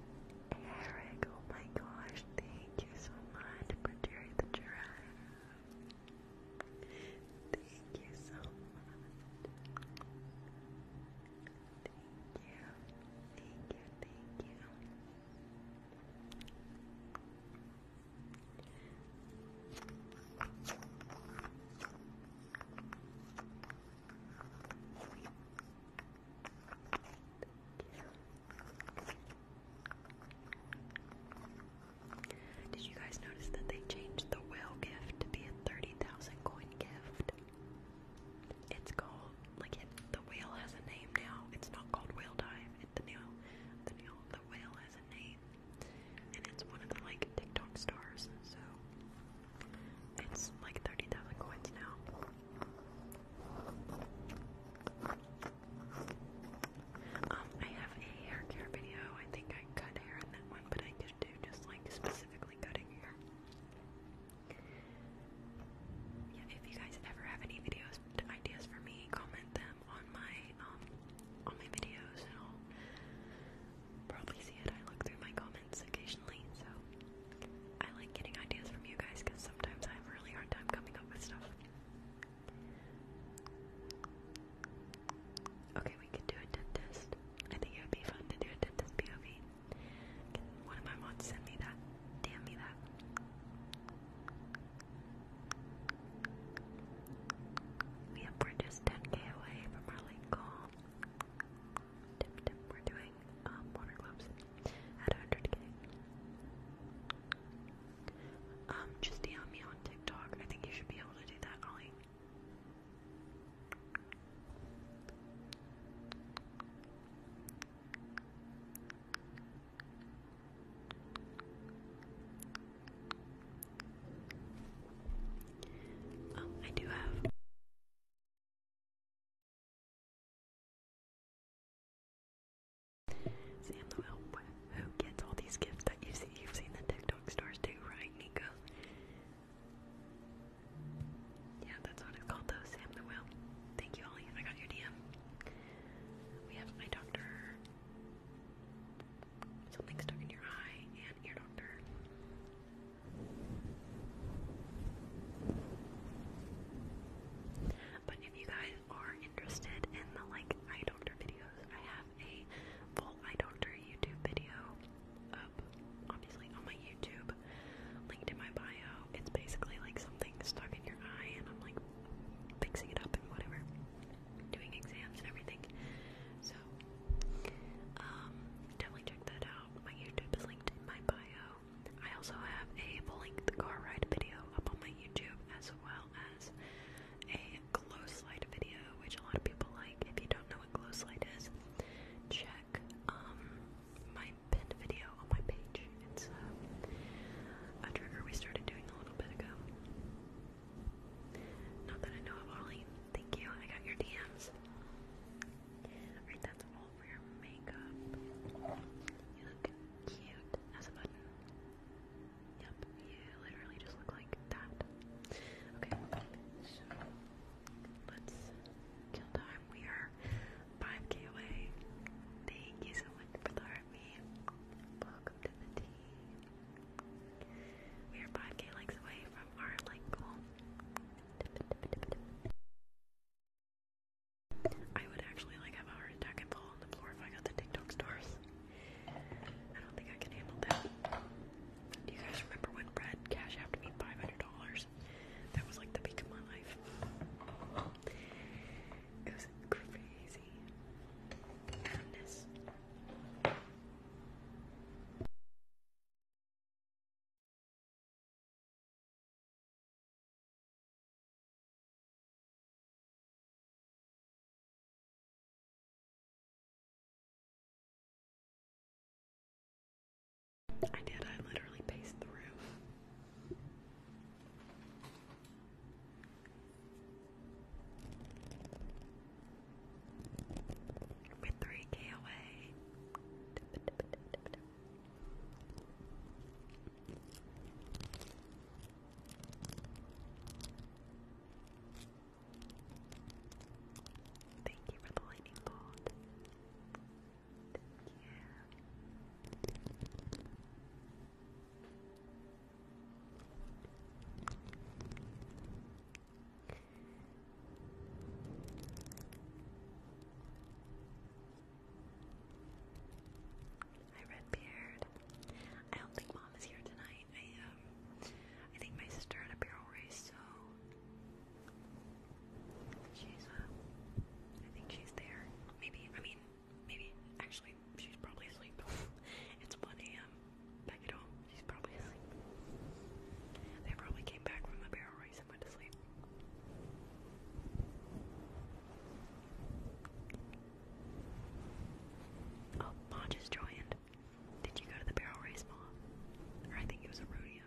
<gasps> Eric, oh my gosh, thank Thank you so much for Jerry the giraffe. Thank you so much. Thank you. Thank you. Thank you. Thank you. Did you guys notice that they changed the whale gift to be a 30,000 coin gift? It's called, like, it, the whale has a name now. It's not called Whale Dive. It's the, new, the, new, the whale has a name. And it's one of the, like, TikTok stars. So, it's like 30,000 coins now. Um, I have a hair care video. I think I cut hair in that one, but I could do just like specifically cutting hair. Yeah, if you guys ever have any videos ideas for me, comment them on my um on my videos and I'll probably see it. I look through my comments occasionally, so I like getting ideas from you guys because sometimes I have a really hard time coming up with stuff. Okay, we can do a dentist. I think it would be fun to do a dentist POV. one of my mods send me that? Damn me that. Yep, we're just 10k away from our lake Tip, tip, we're doing um, water globes at 100k. Um, just DM me on TikTok. I think you should be able to do that, Ollie. Um, I do have Sam the Whelp, who gets all these gifts that you see? You've seen the TikTok stars do, right, Nika? Yeah, that's what it's called, though. Sam the Whelp. Thank you, Ollie. I got your DM. We have eye doctor. Something stuck in your eye, and ear doctor. But if you guys are interested in the like eye doctor videos, I have a full eye doctor YouTube video up, obviously on my YouTube, linked in my bio. It's basically like something stuck in your eye, and I'm like fixing it up and whatever, doing exams and everything. So, um, definitely check that out. My YouTube is linked in my bio. I also have a blink the car ride video up on my YouTube as well as a glow slide video, which a lot of people like. If you don't know what glow slide is, check um, my pinned video on my page. It's uh, a trigger we started doing a little bit ago. Not that I know of, Ollie. Thank you. I got your DMs. Alright, that's all all your makeup. You look cute as a button. Yep, you literally just look like that. Okay, so let's kill time. We are 5k away. Thank you so much for the heartbeat. Welcome to the team. We are 5k likes away from our like goal. I would actually like have a heart attack and fall on the floor if I got the TikTok stars. I don't think I can handle that. Do you guys remember when Brad Cash after me five hundred dollars? That was like the peak of my life. It was crazy. Madness. I did, I literally paced the room. we 3k away. Thank you for the lightning bolt. Thank Hi, Redbeard. I don't think mom is here tonight. I um, I think my sister had a barrel race, so she's uh, I think she's there. Maybe. I mean, maybe. Actually, she's probably asleep. <laughs> it's 1 a.m. Back at home, she's probably asleep. They probably came back from the barrel race and went to sleep. Oh, Ma just joined. Did you go to the barrel race, mom? Or I think it was a rodeo.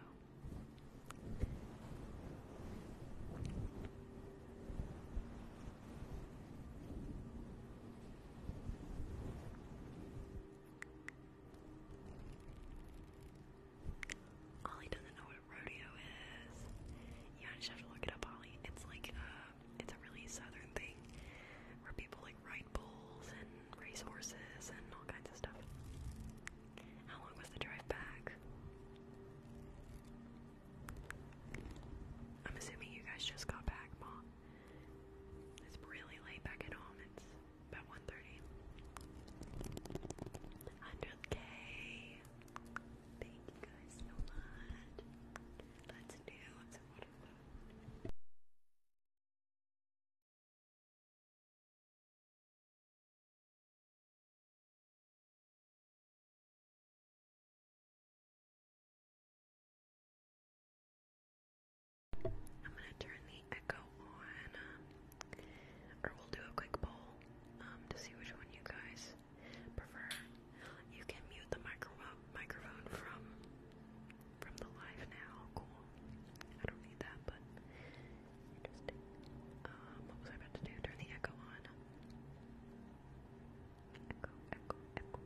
Ollie doesn't know what what rodeo is. You just have to look it up, Ollie. It's like uh, it's a really southern thing where people like ride bulls and race horses and all kinds of stuff. How long was the drive back? I'm assuming you guys just got back, Mom. It's really late back at home. It's about 1.30. 100k. Thank you guys so much. Let's do I'm gonna turn the echo on, or we'll do a quick poll um, to see which one you guys prefer. You can mute the microphone microphone from from the live now. Cool. I don't need that, but interesting. Um, what was I about to do? Turn the echo on. Echo, echo, echo.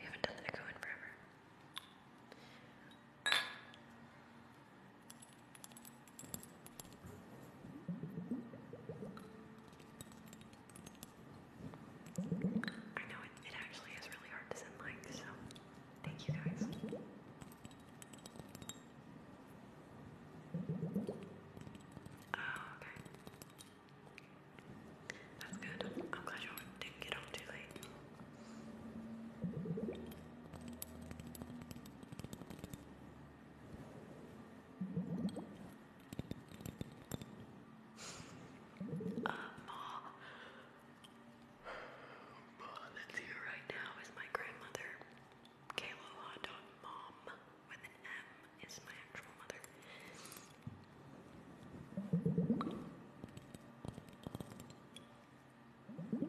We haven't done the echo in forever. I know it, it actually is really hard to send so thank you guys. Oh, okay. That's good. I'm glad you didn't get home too late. Um, all, all that's here right now is my grandmother, Kayla mom with an M is my actual mother.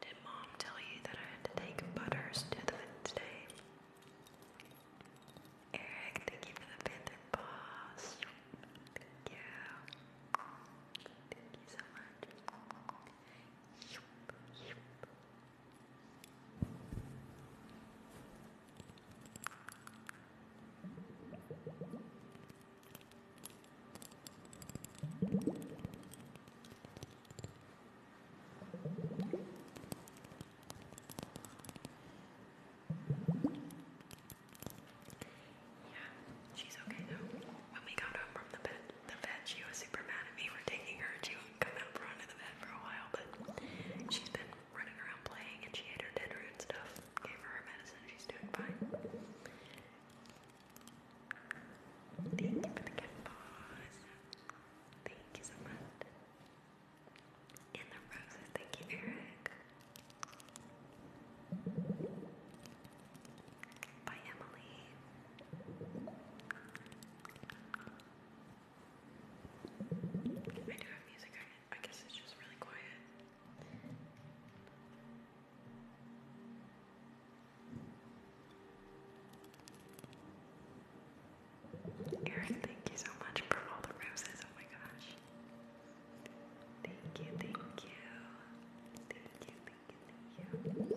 Did mom tell you that I had to take butters to the Wednesday? Eric, thank you for the boss. Thank you. Thank you so much. Yeah, she's okay though. When we got home from the bed, the vet, she was super mad at me for taking her. She wouldn't come out front of the bed for a while, but she's been running around playing, and she ate her dinner and stuff. Gave her her medicine, she's doing fine. Thank you for the cat paws. Thank you so much. And the roses, thank you, Eric. By Emily. I do have music quiet. thank you so much for all the roses. Oh my gosh. thank you. Thank you, thank you, thank you. Thank you.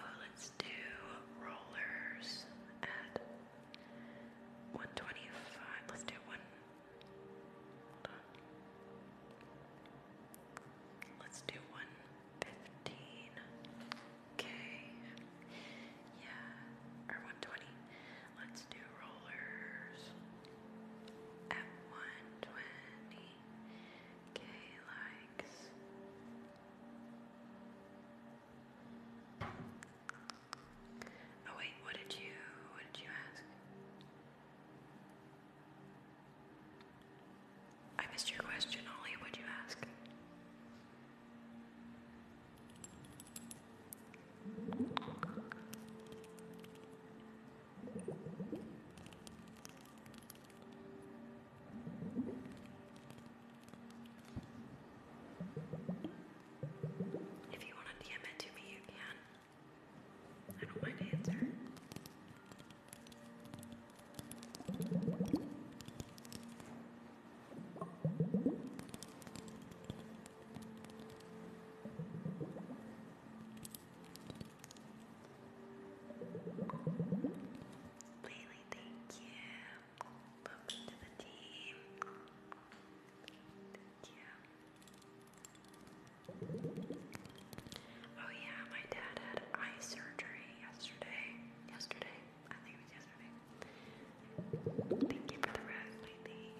Oh, let's do rollers at 125. Let's do one. Hold on. Let's do 115. Okay. Yeah. Or 120. Let's do rollers at 120. Oh wait, what did you what did you ask? I missed your question, Ollie. What'd you ask? If you want to DM it to me, you can. I don't mind answer. Lily, thank you. Welcome to the team. Thank you. Oh yeah, my dad had eye surgery yesterday. Yesterday? I think it was yesterday. Thank you for the rest, Lily.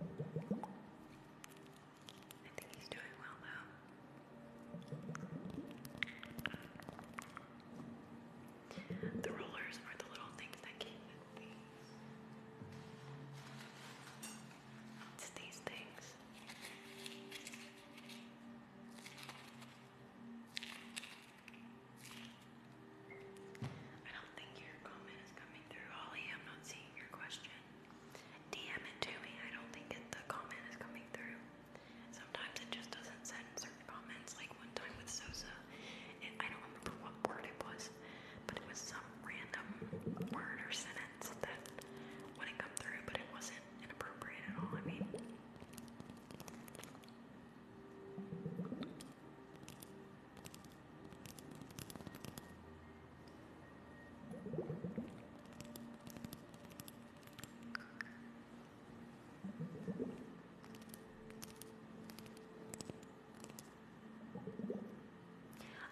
I think he's doing well though. The rollers are the little things that came these things. I don't think your comment is coming through, Ollie. I'm not seeing your question. DM it to me. I don't think it, the comment is coming through. Sometimes it just doesn't send certain comments. Like one time with Sosa, I don't remember what word it was, but it was some random word or sentence that wouldn't come through, but it wasn't inappropriate at all. I mean,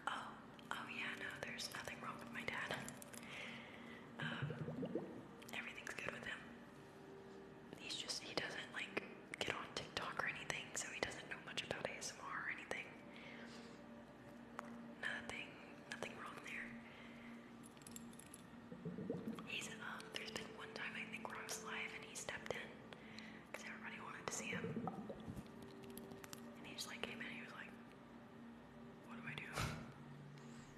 Oh, oh yeah, no, there's nothing wrong with my dad. Um, everything's good with him. He's just, he doesn't like get on TikTok or anything, so he doesn't know much about ASMR or anything. Nothing, nothing wrong there. He's, um, there's been one time I think where I was live and he stepped in because everybody wanted to see him. And he just like came in and he was like, what do I do? <laughs>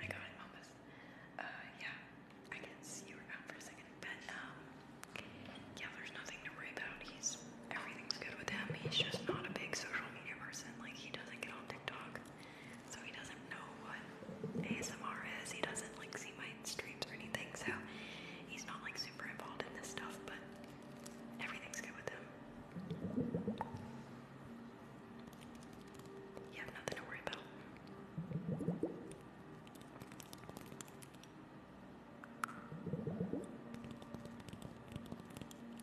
I got it almost. Uh, yeah, I guess you were out for a second, but um, yeah, there's nothing to worry about. He's everything's good with him. He's just not a big social media person. Like, he doesn't get on TikTok, so he doesn't know what ASMR is. He doesn't, like, see my streams or anything, so he's not, like, super involved in this stuff, but everything's good with him. You have nothing to worry about.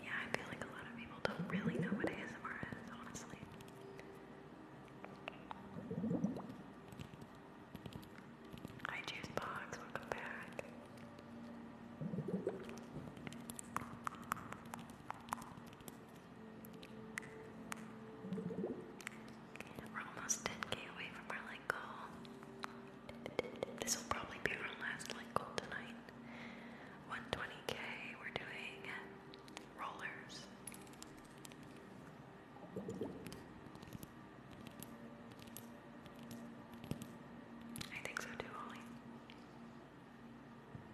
Yeah, I feel like a lot of people don't really know what ASMR is, honestly. I choose box, welcome back. We're almost 10k away from our light goal. This will probably be our last light goal tonight. 120k, we're doing rollers. I think so too, Ollie.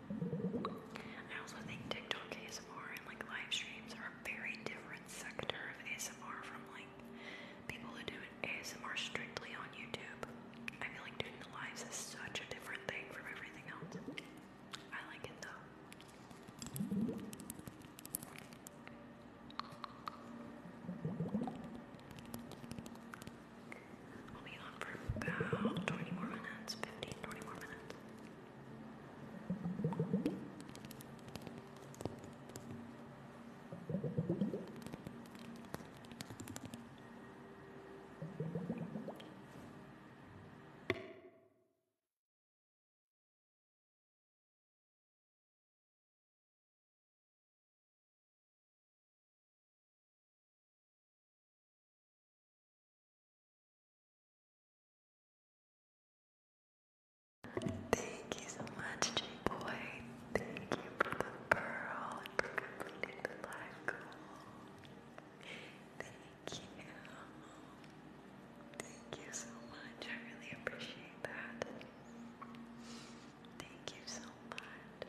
I also think TikTok ASMR and like live streams are a very different sector of ASMR from like people who do ASMR strictly on YouTube. I feel like doing the lives is such a different thing from everything else. I like it though. I'll be on for about 20 more minutes, 15, more minutes. Thank you so much, J Boy. Thank you for the pearl and for completing the live Thank you. Thank you so much. I really appreciate that. Thank you so much.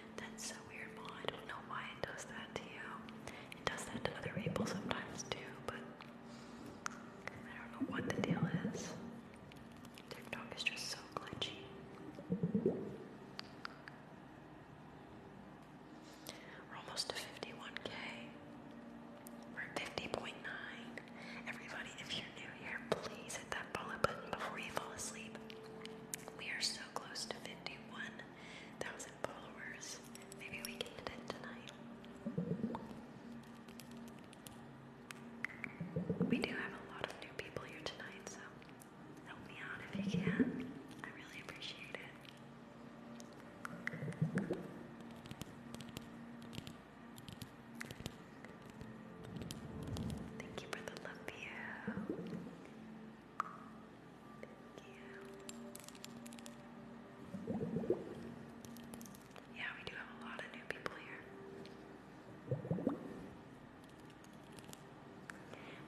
That's so weird, Mom. I don't know why it does that to you. It does that to other people sometimes too, but I don't know what the deal is. TikTok is just so glitchy. We're almost to 51k. We're 50.9. Everybody, if you're new here, please hit that follow button before you fall asleep. We are so close to 51 thousand followers. Maybe we can hit it tonight. We do have a lot of new people here tonight, so help me out if you can. I really appreciate it. Thank you for the love you. Thank you. Yeah, we do have a lot of new people here.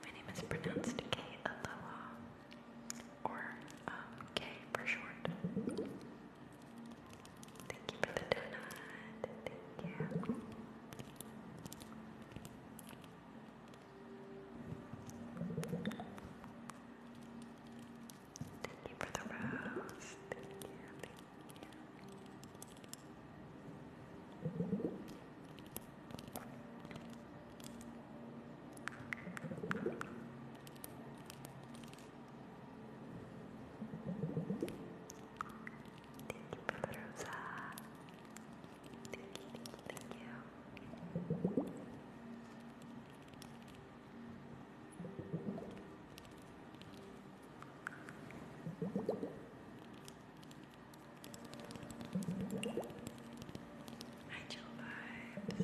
My name is pronounced K or um, K for short. Thank you for the donut. Thank you. Thank you for the rose. Thank you, thank you. Thank you, Rosa. Thank you, thank you. Hi, Jill Vibes.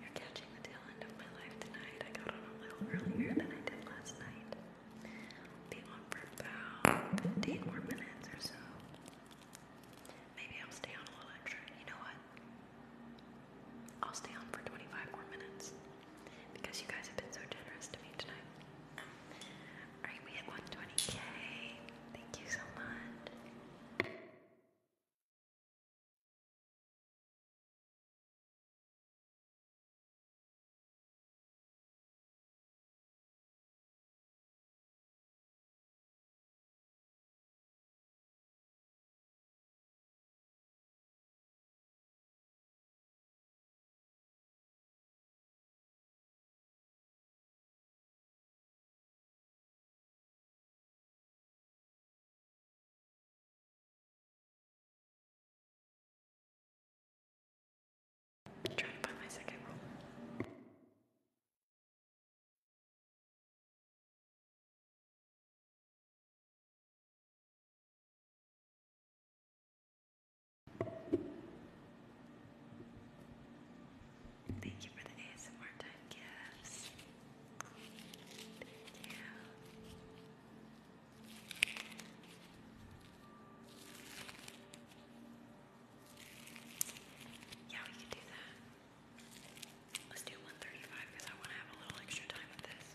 You're catching the tail end of my life tonight. I got on a little earlier than I did last night. Be on for about 15 more minutes or so. Maybe I'll stay on a little extra. You know what? I'll stay on for 25 more minutes because you guys have been so generous to me tonight. Alright, we hit 120k. Thank you so much. I'm trying to find my second rule. Thank you for the ASMR time gifts. Thank yeah, we can do that. Let's do 135 because I want to have a little extra time with this.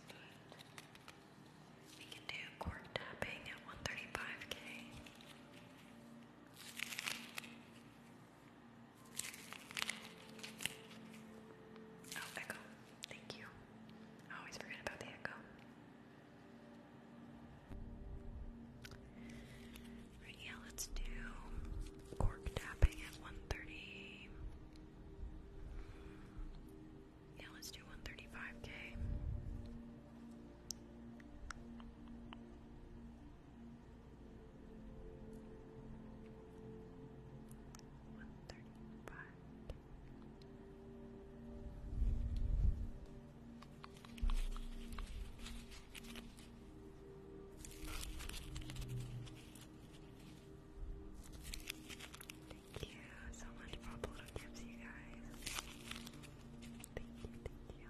we can do cork tapping at 135k. Oh, echo. Thank you. I always forget about the echo yeah, let's do cork tapping at 130. Yeah, let's do 135k. One thirty-five. Thank you so much for all the little you guys. Thank you, thank you.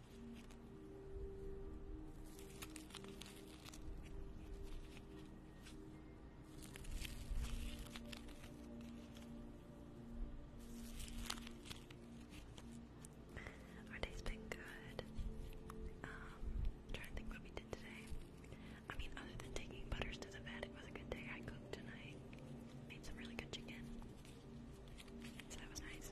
Our day's been good. Um, trying to think what we did today. I mean, other than taking butters to the vet, it was a good day. I cooked tonight. Made some really good chicken. So that was nice.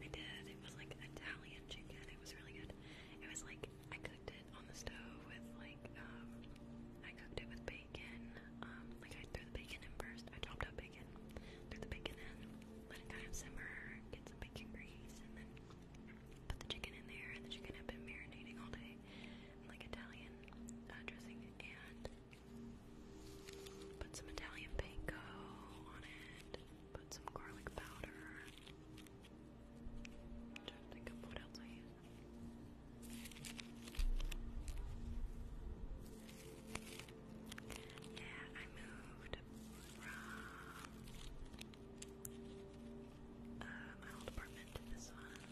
I did. It was like Italian chicken. It was really good. It was like I cooked it on the stove with like um I cooked it with bacon. Um like I threw the bacon in first. I chopped up bacon, threw the bacon in, let it kind of simmer, get some bacon grease, and then put the chicken in there and the chicken had been marinating all day in like Italian uh, dressing and put some Italian panko on it, put some garlic powder, I'm trying to think of what else I use. Yeah, I moved from uh, my old apartment to this one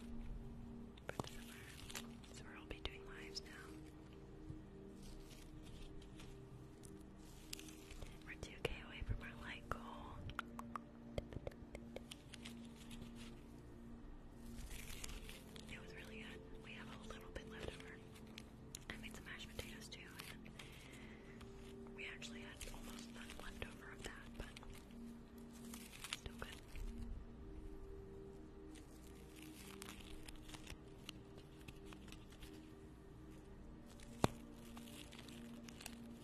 for the So we'll be doing lives now. We're 2k away from our light goal. It was really good. We have a little bit left over. I made some mashed potatoes too, and we actually had almost none left over of that, but still good.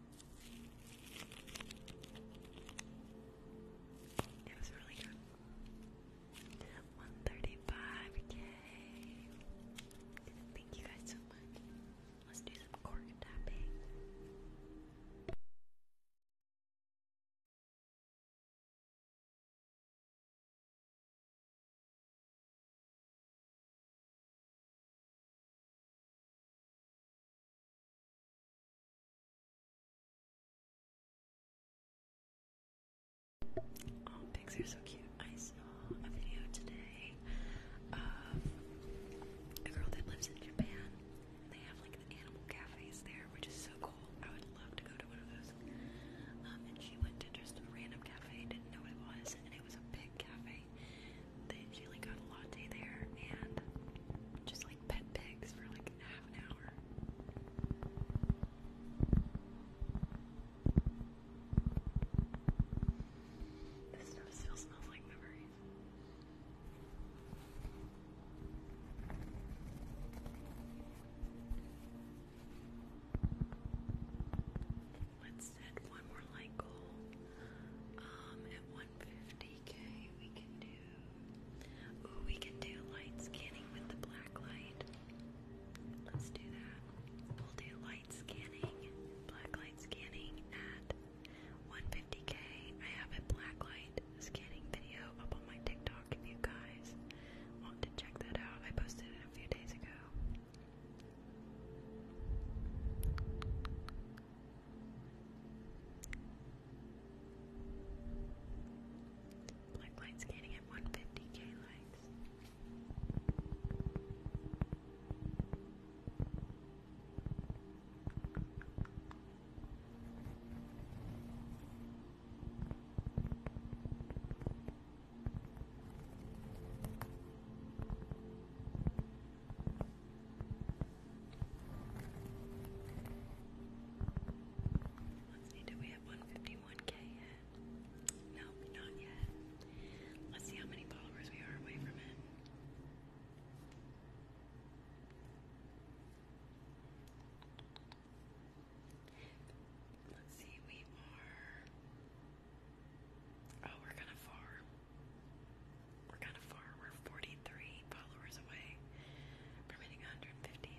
It was really good. 135k. Thank you guys so much. Let's do some cork tapping. Oh, pigs are so cute. I saw a video today of a girl that lives in Japan. They have like animal cafes there, which is so cool. I would love to go to one of those. Um, and she went to just a random cafe, didn't know what it was, and it was a pig cafe. They, she like got a latte there and just like pet pigs for like half an hour. This stuff still smells like memories let's set one more like goal. Um, at 150k, we can do. Ooh, we can do light scanning with the black light. Let's do that. We'll do light scanning, black light scanning at 150k. I have a black light scanning video up on my TikTok if you guys want to check that out. I posted it a few days ago. Black Light's getting at 150k likes. Let's see, do we have 151k No, not yet. Let's see how many followers we are away from it. Let's see, we are. Oh, we're kind of far. We're kind of far. We're 43 followers away from hitting 150.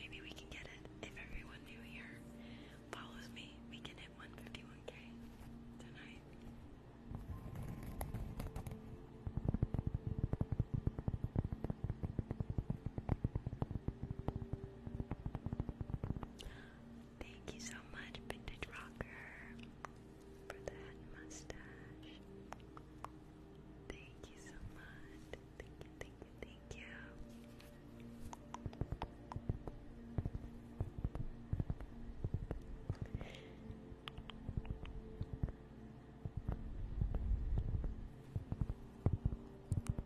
Maybe we can get it if everyone new here follows me. We can hit 151k tonight. Thank you so much, Vintage Rocker, for that mustache. Thank you so much. Thank you, thank you, thank you.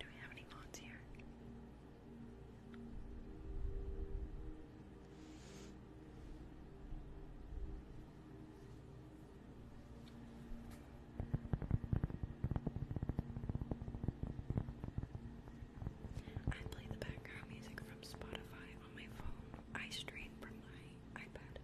Do we have any mods here? I play the background music from Spotify on my phone. I stream from my iPad.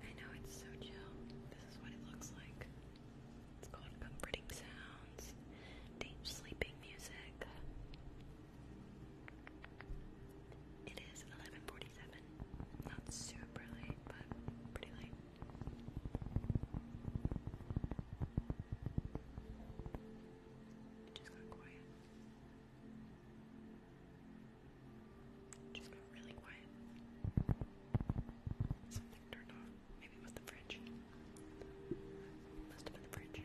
I know it's so chill. This is what it looks like. It's called Comforting Sounds, Deep Sleeping Music. It is 11:47. Not super late, but pretty late. It just got quiet. just got really quiet. Something turned off. Maybe was the fridge. Must have been the fridge.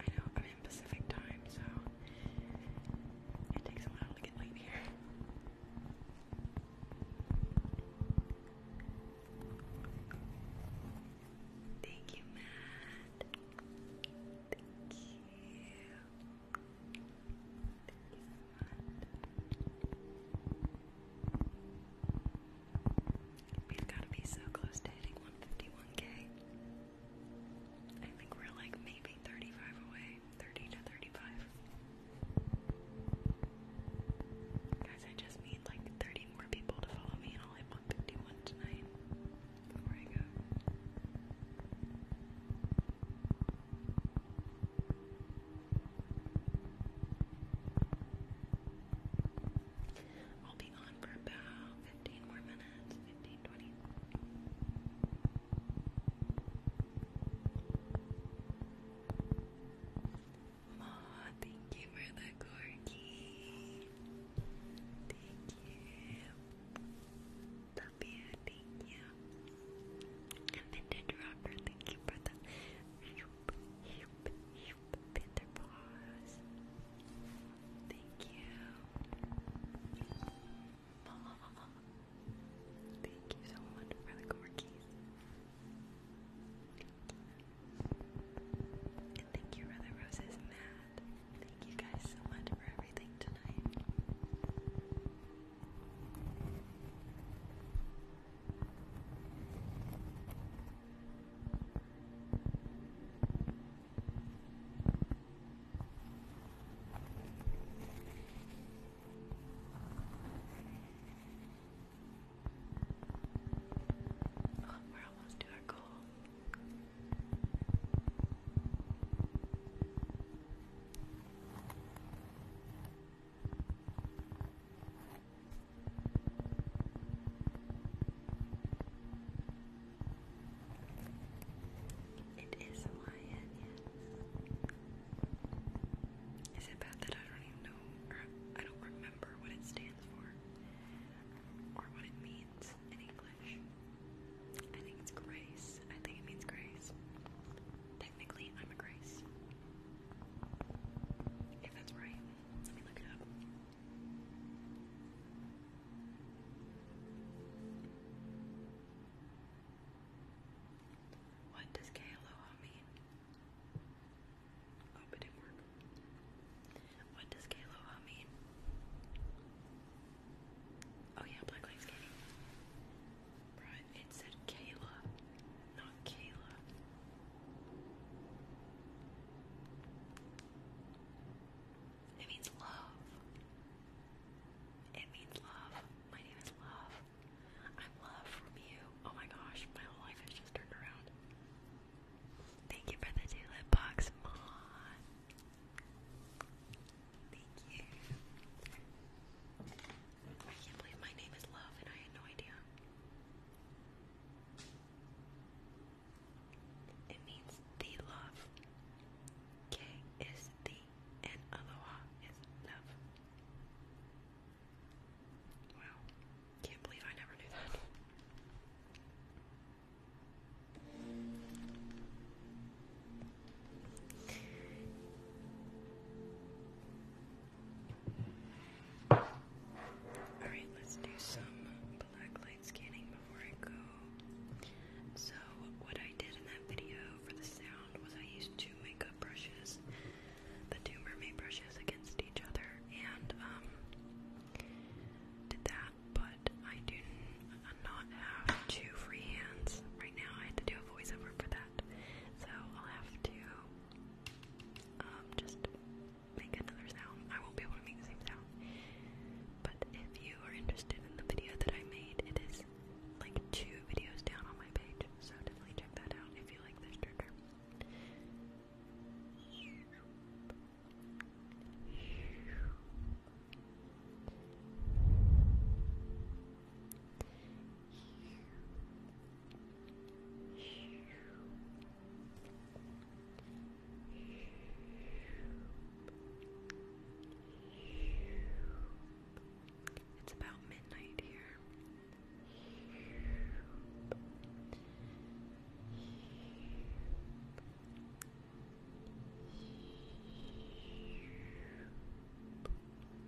I know I'm in Pacific time, so it takes a while to get late here. Thank you, Matt. Thank you. We've got to be so close to hitting 151k. I think we're like maybe 35 away, 30 to 35. Guys, I just need like 30 more people to follow me, and I'll hit 151 tonight. Before I go. I'll be on for about 15 more minutes, 15, 20. thank you for the corky. Thank you. Tapia, thank you. And Vintage Rocker, thank you for the shoop, shoop, shoop, Pinder Paws. Thank you. Thank you so much for the corkies. And thank you, Brother Roses Matt. Thank you guys so much for everything tonight. Oh, we're almost to our goal. It is Hawaiian, yes. Is it bad that I don't even know, or I don't remember what it stands for, or what it means in English? I think it's grace. I think it means grace. Technically, I'm a grace. If that's right, let me look it up. What does Kealoha mean? Oh, what does Kealoha mean? Oh yeah, Black Lives it said Kayla, not Kayla. It means love. It means love. My name is Love. I'm love from you. Oh my gosh, my whole life has just turned around. Thank you for the two box, Thank you. I can't believe my name is Love and I had no idea. It means the love. K is the and aloha is love. Wow. Can't believe I never knew that. Alright, let's do some black light scanning before I go. So, what I did in that video for the sound was I used two makeup brushes, the two mermaid brushes against each other, and um, did that, but I do not have two free hands right now. I had to do a voiceover for that. So I'll have to um, just make another sound. I won't be able to make the same sound. But if you are interested in the video that I made, it is like two videos down on my page. So definitely check that out if you like this trigger. It's about midnight here.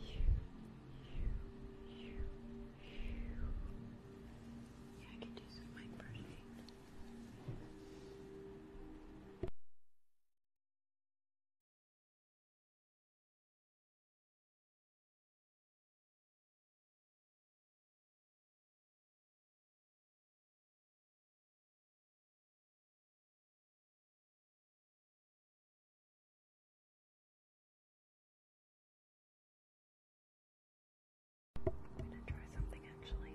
Yeah, I can do some mic brushing. I'm gonna try something actually.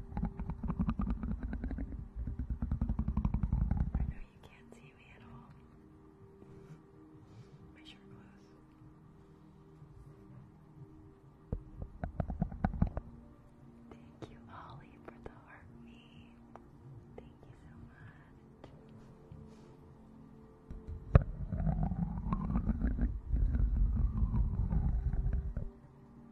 I know you can't see me at all. My shirt clothes. Thank you, Ollie, for the heart me. Thank you so much roses.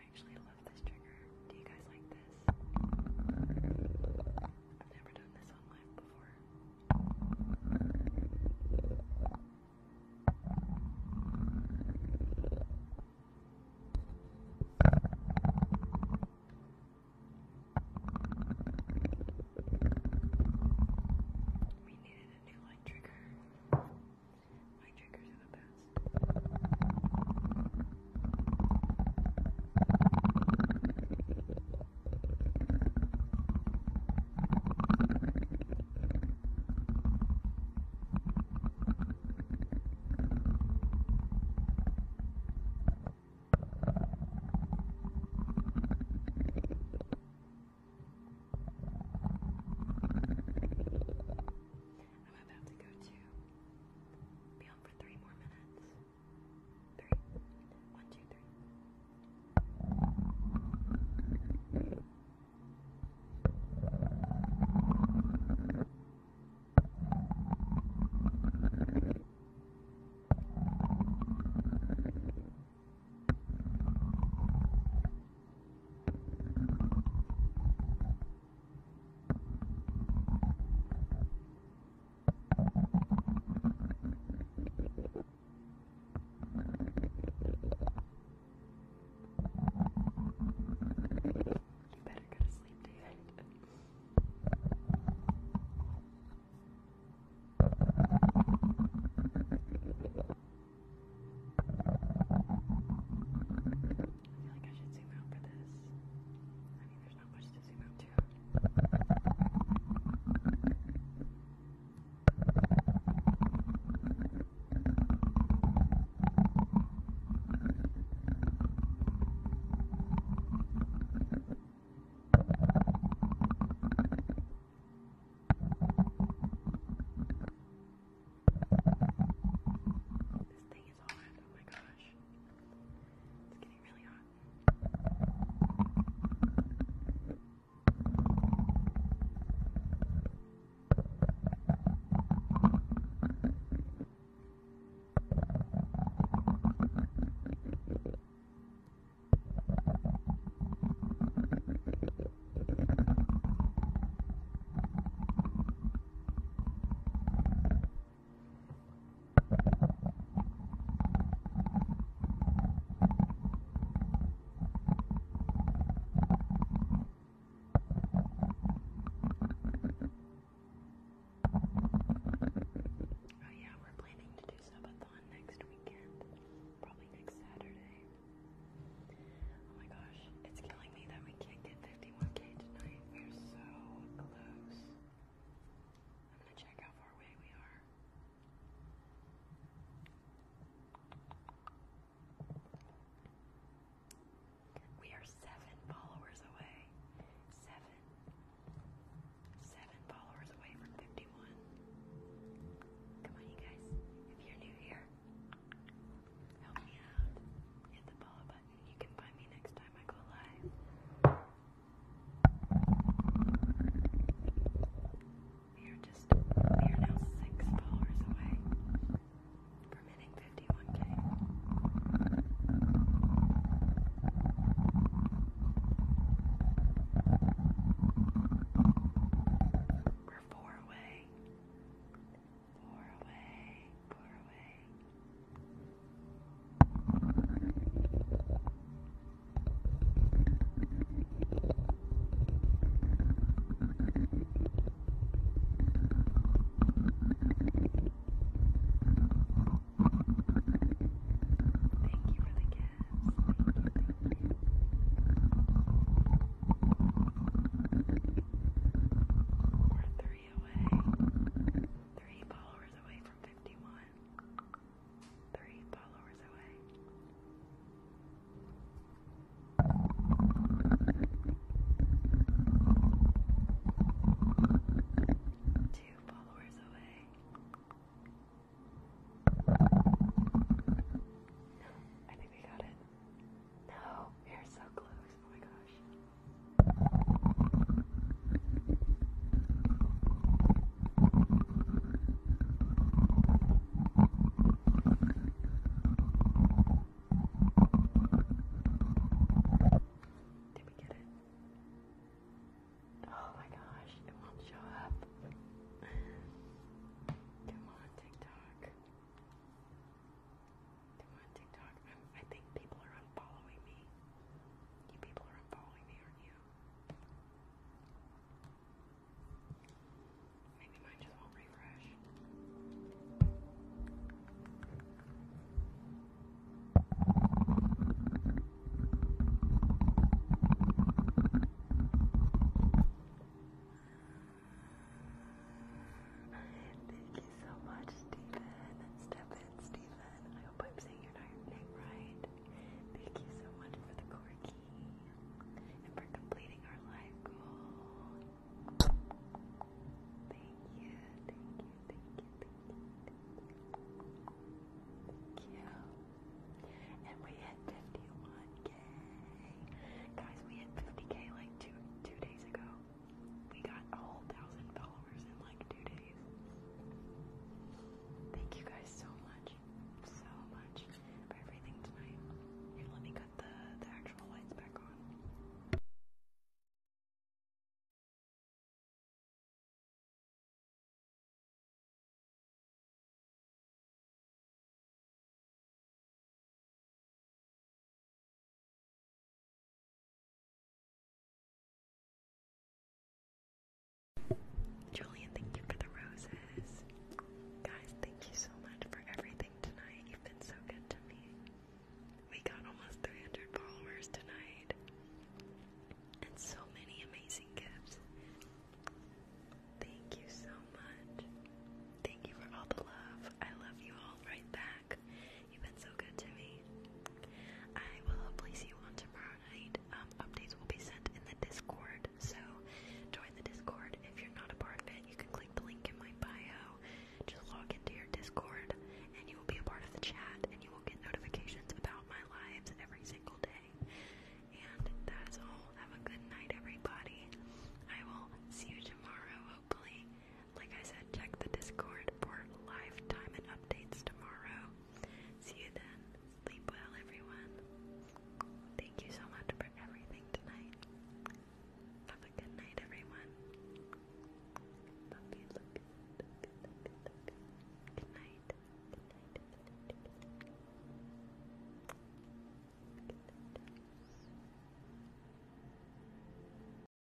I actually love this trigger. Do you guys like this? I've never done this on live before. We needed a new light trigger. My triggers are the best. I'm about to go to be on for three more minutes. Three. One, two, three. Thank you better go to sleep, David. I feel like I should zoom out for this. I mean, there's not much to zoom out to. This thing is hot. Oh my gosh. It's getting really hot. Thank you Oh yeah, we're planning to do subathon next weekend, probably next Saturday. Oh my gosh, it's killing we are so close. We are seven followers away. Seven. Seven followers away from 51. Come on, you guys. If you're new here, help me out. Hit the follow button and you We are just, we are now six followers away from 51k. We're four away pour away, pour away. Thank you for the gifts. Thank you, thank you. We're three away. followers away from 51. Three followers away. Two followers away. I think we got it. No, you're so close. Oh my gosh. Did we get it? Oh my gosh, it won't show up. Come on, TikTok i on TikTok. i think people are unfollowing me. You people are unfollowing me, aren't you? Maybe mine just will refresh. Thank you so much, Stephen. Stephen, Stephen. I hope I'm saying your name right. Thank you so much for the corky and for completing our life goal. Thank you, thank you, thank you, thank you, thank you. And we hit 51k. Guys, we hit 50k like two two days ago. We got a whole thousand followers in like two days. Thank you guys so much, so much for everything tonight. let me cut the, the actual lights back on. Julian, thank you for the roses. Guys, thank you so much for everything tonight. You've been so good to me. We got almost 300 followers tonight. And so many amazing gifts. Thank you so much. Thank you for all the love. I love you all right back. You've been so good to me. I will hopefully see you on tomorrow night. Um, updates will be sent in the Discord, so join the Discord. If you're not a part of it, you can click the link in my bio. Just log into your Discord, and you will be a part of the chat, and you will get notifications about my lives every single day. And that is all. Have a good night, everybody. I will see you tomorrow, hopefully. Like I said, check the Discord for live time and updates tomorrow. See you then. Sleep well, everyone. Thank you so much for everything tonight. Have a good night, everyone. Love you, Good night. Good night.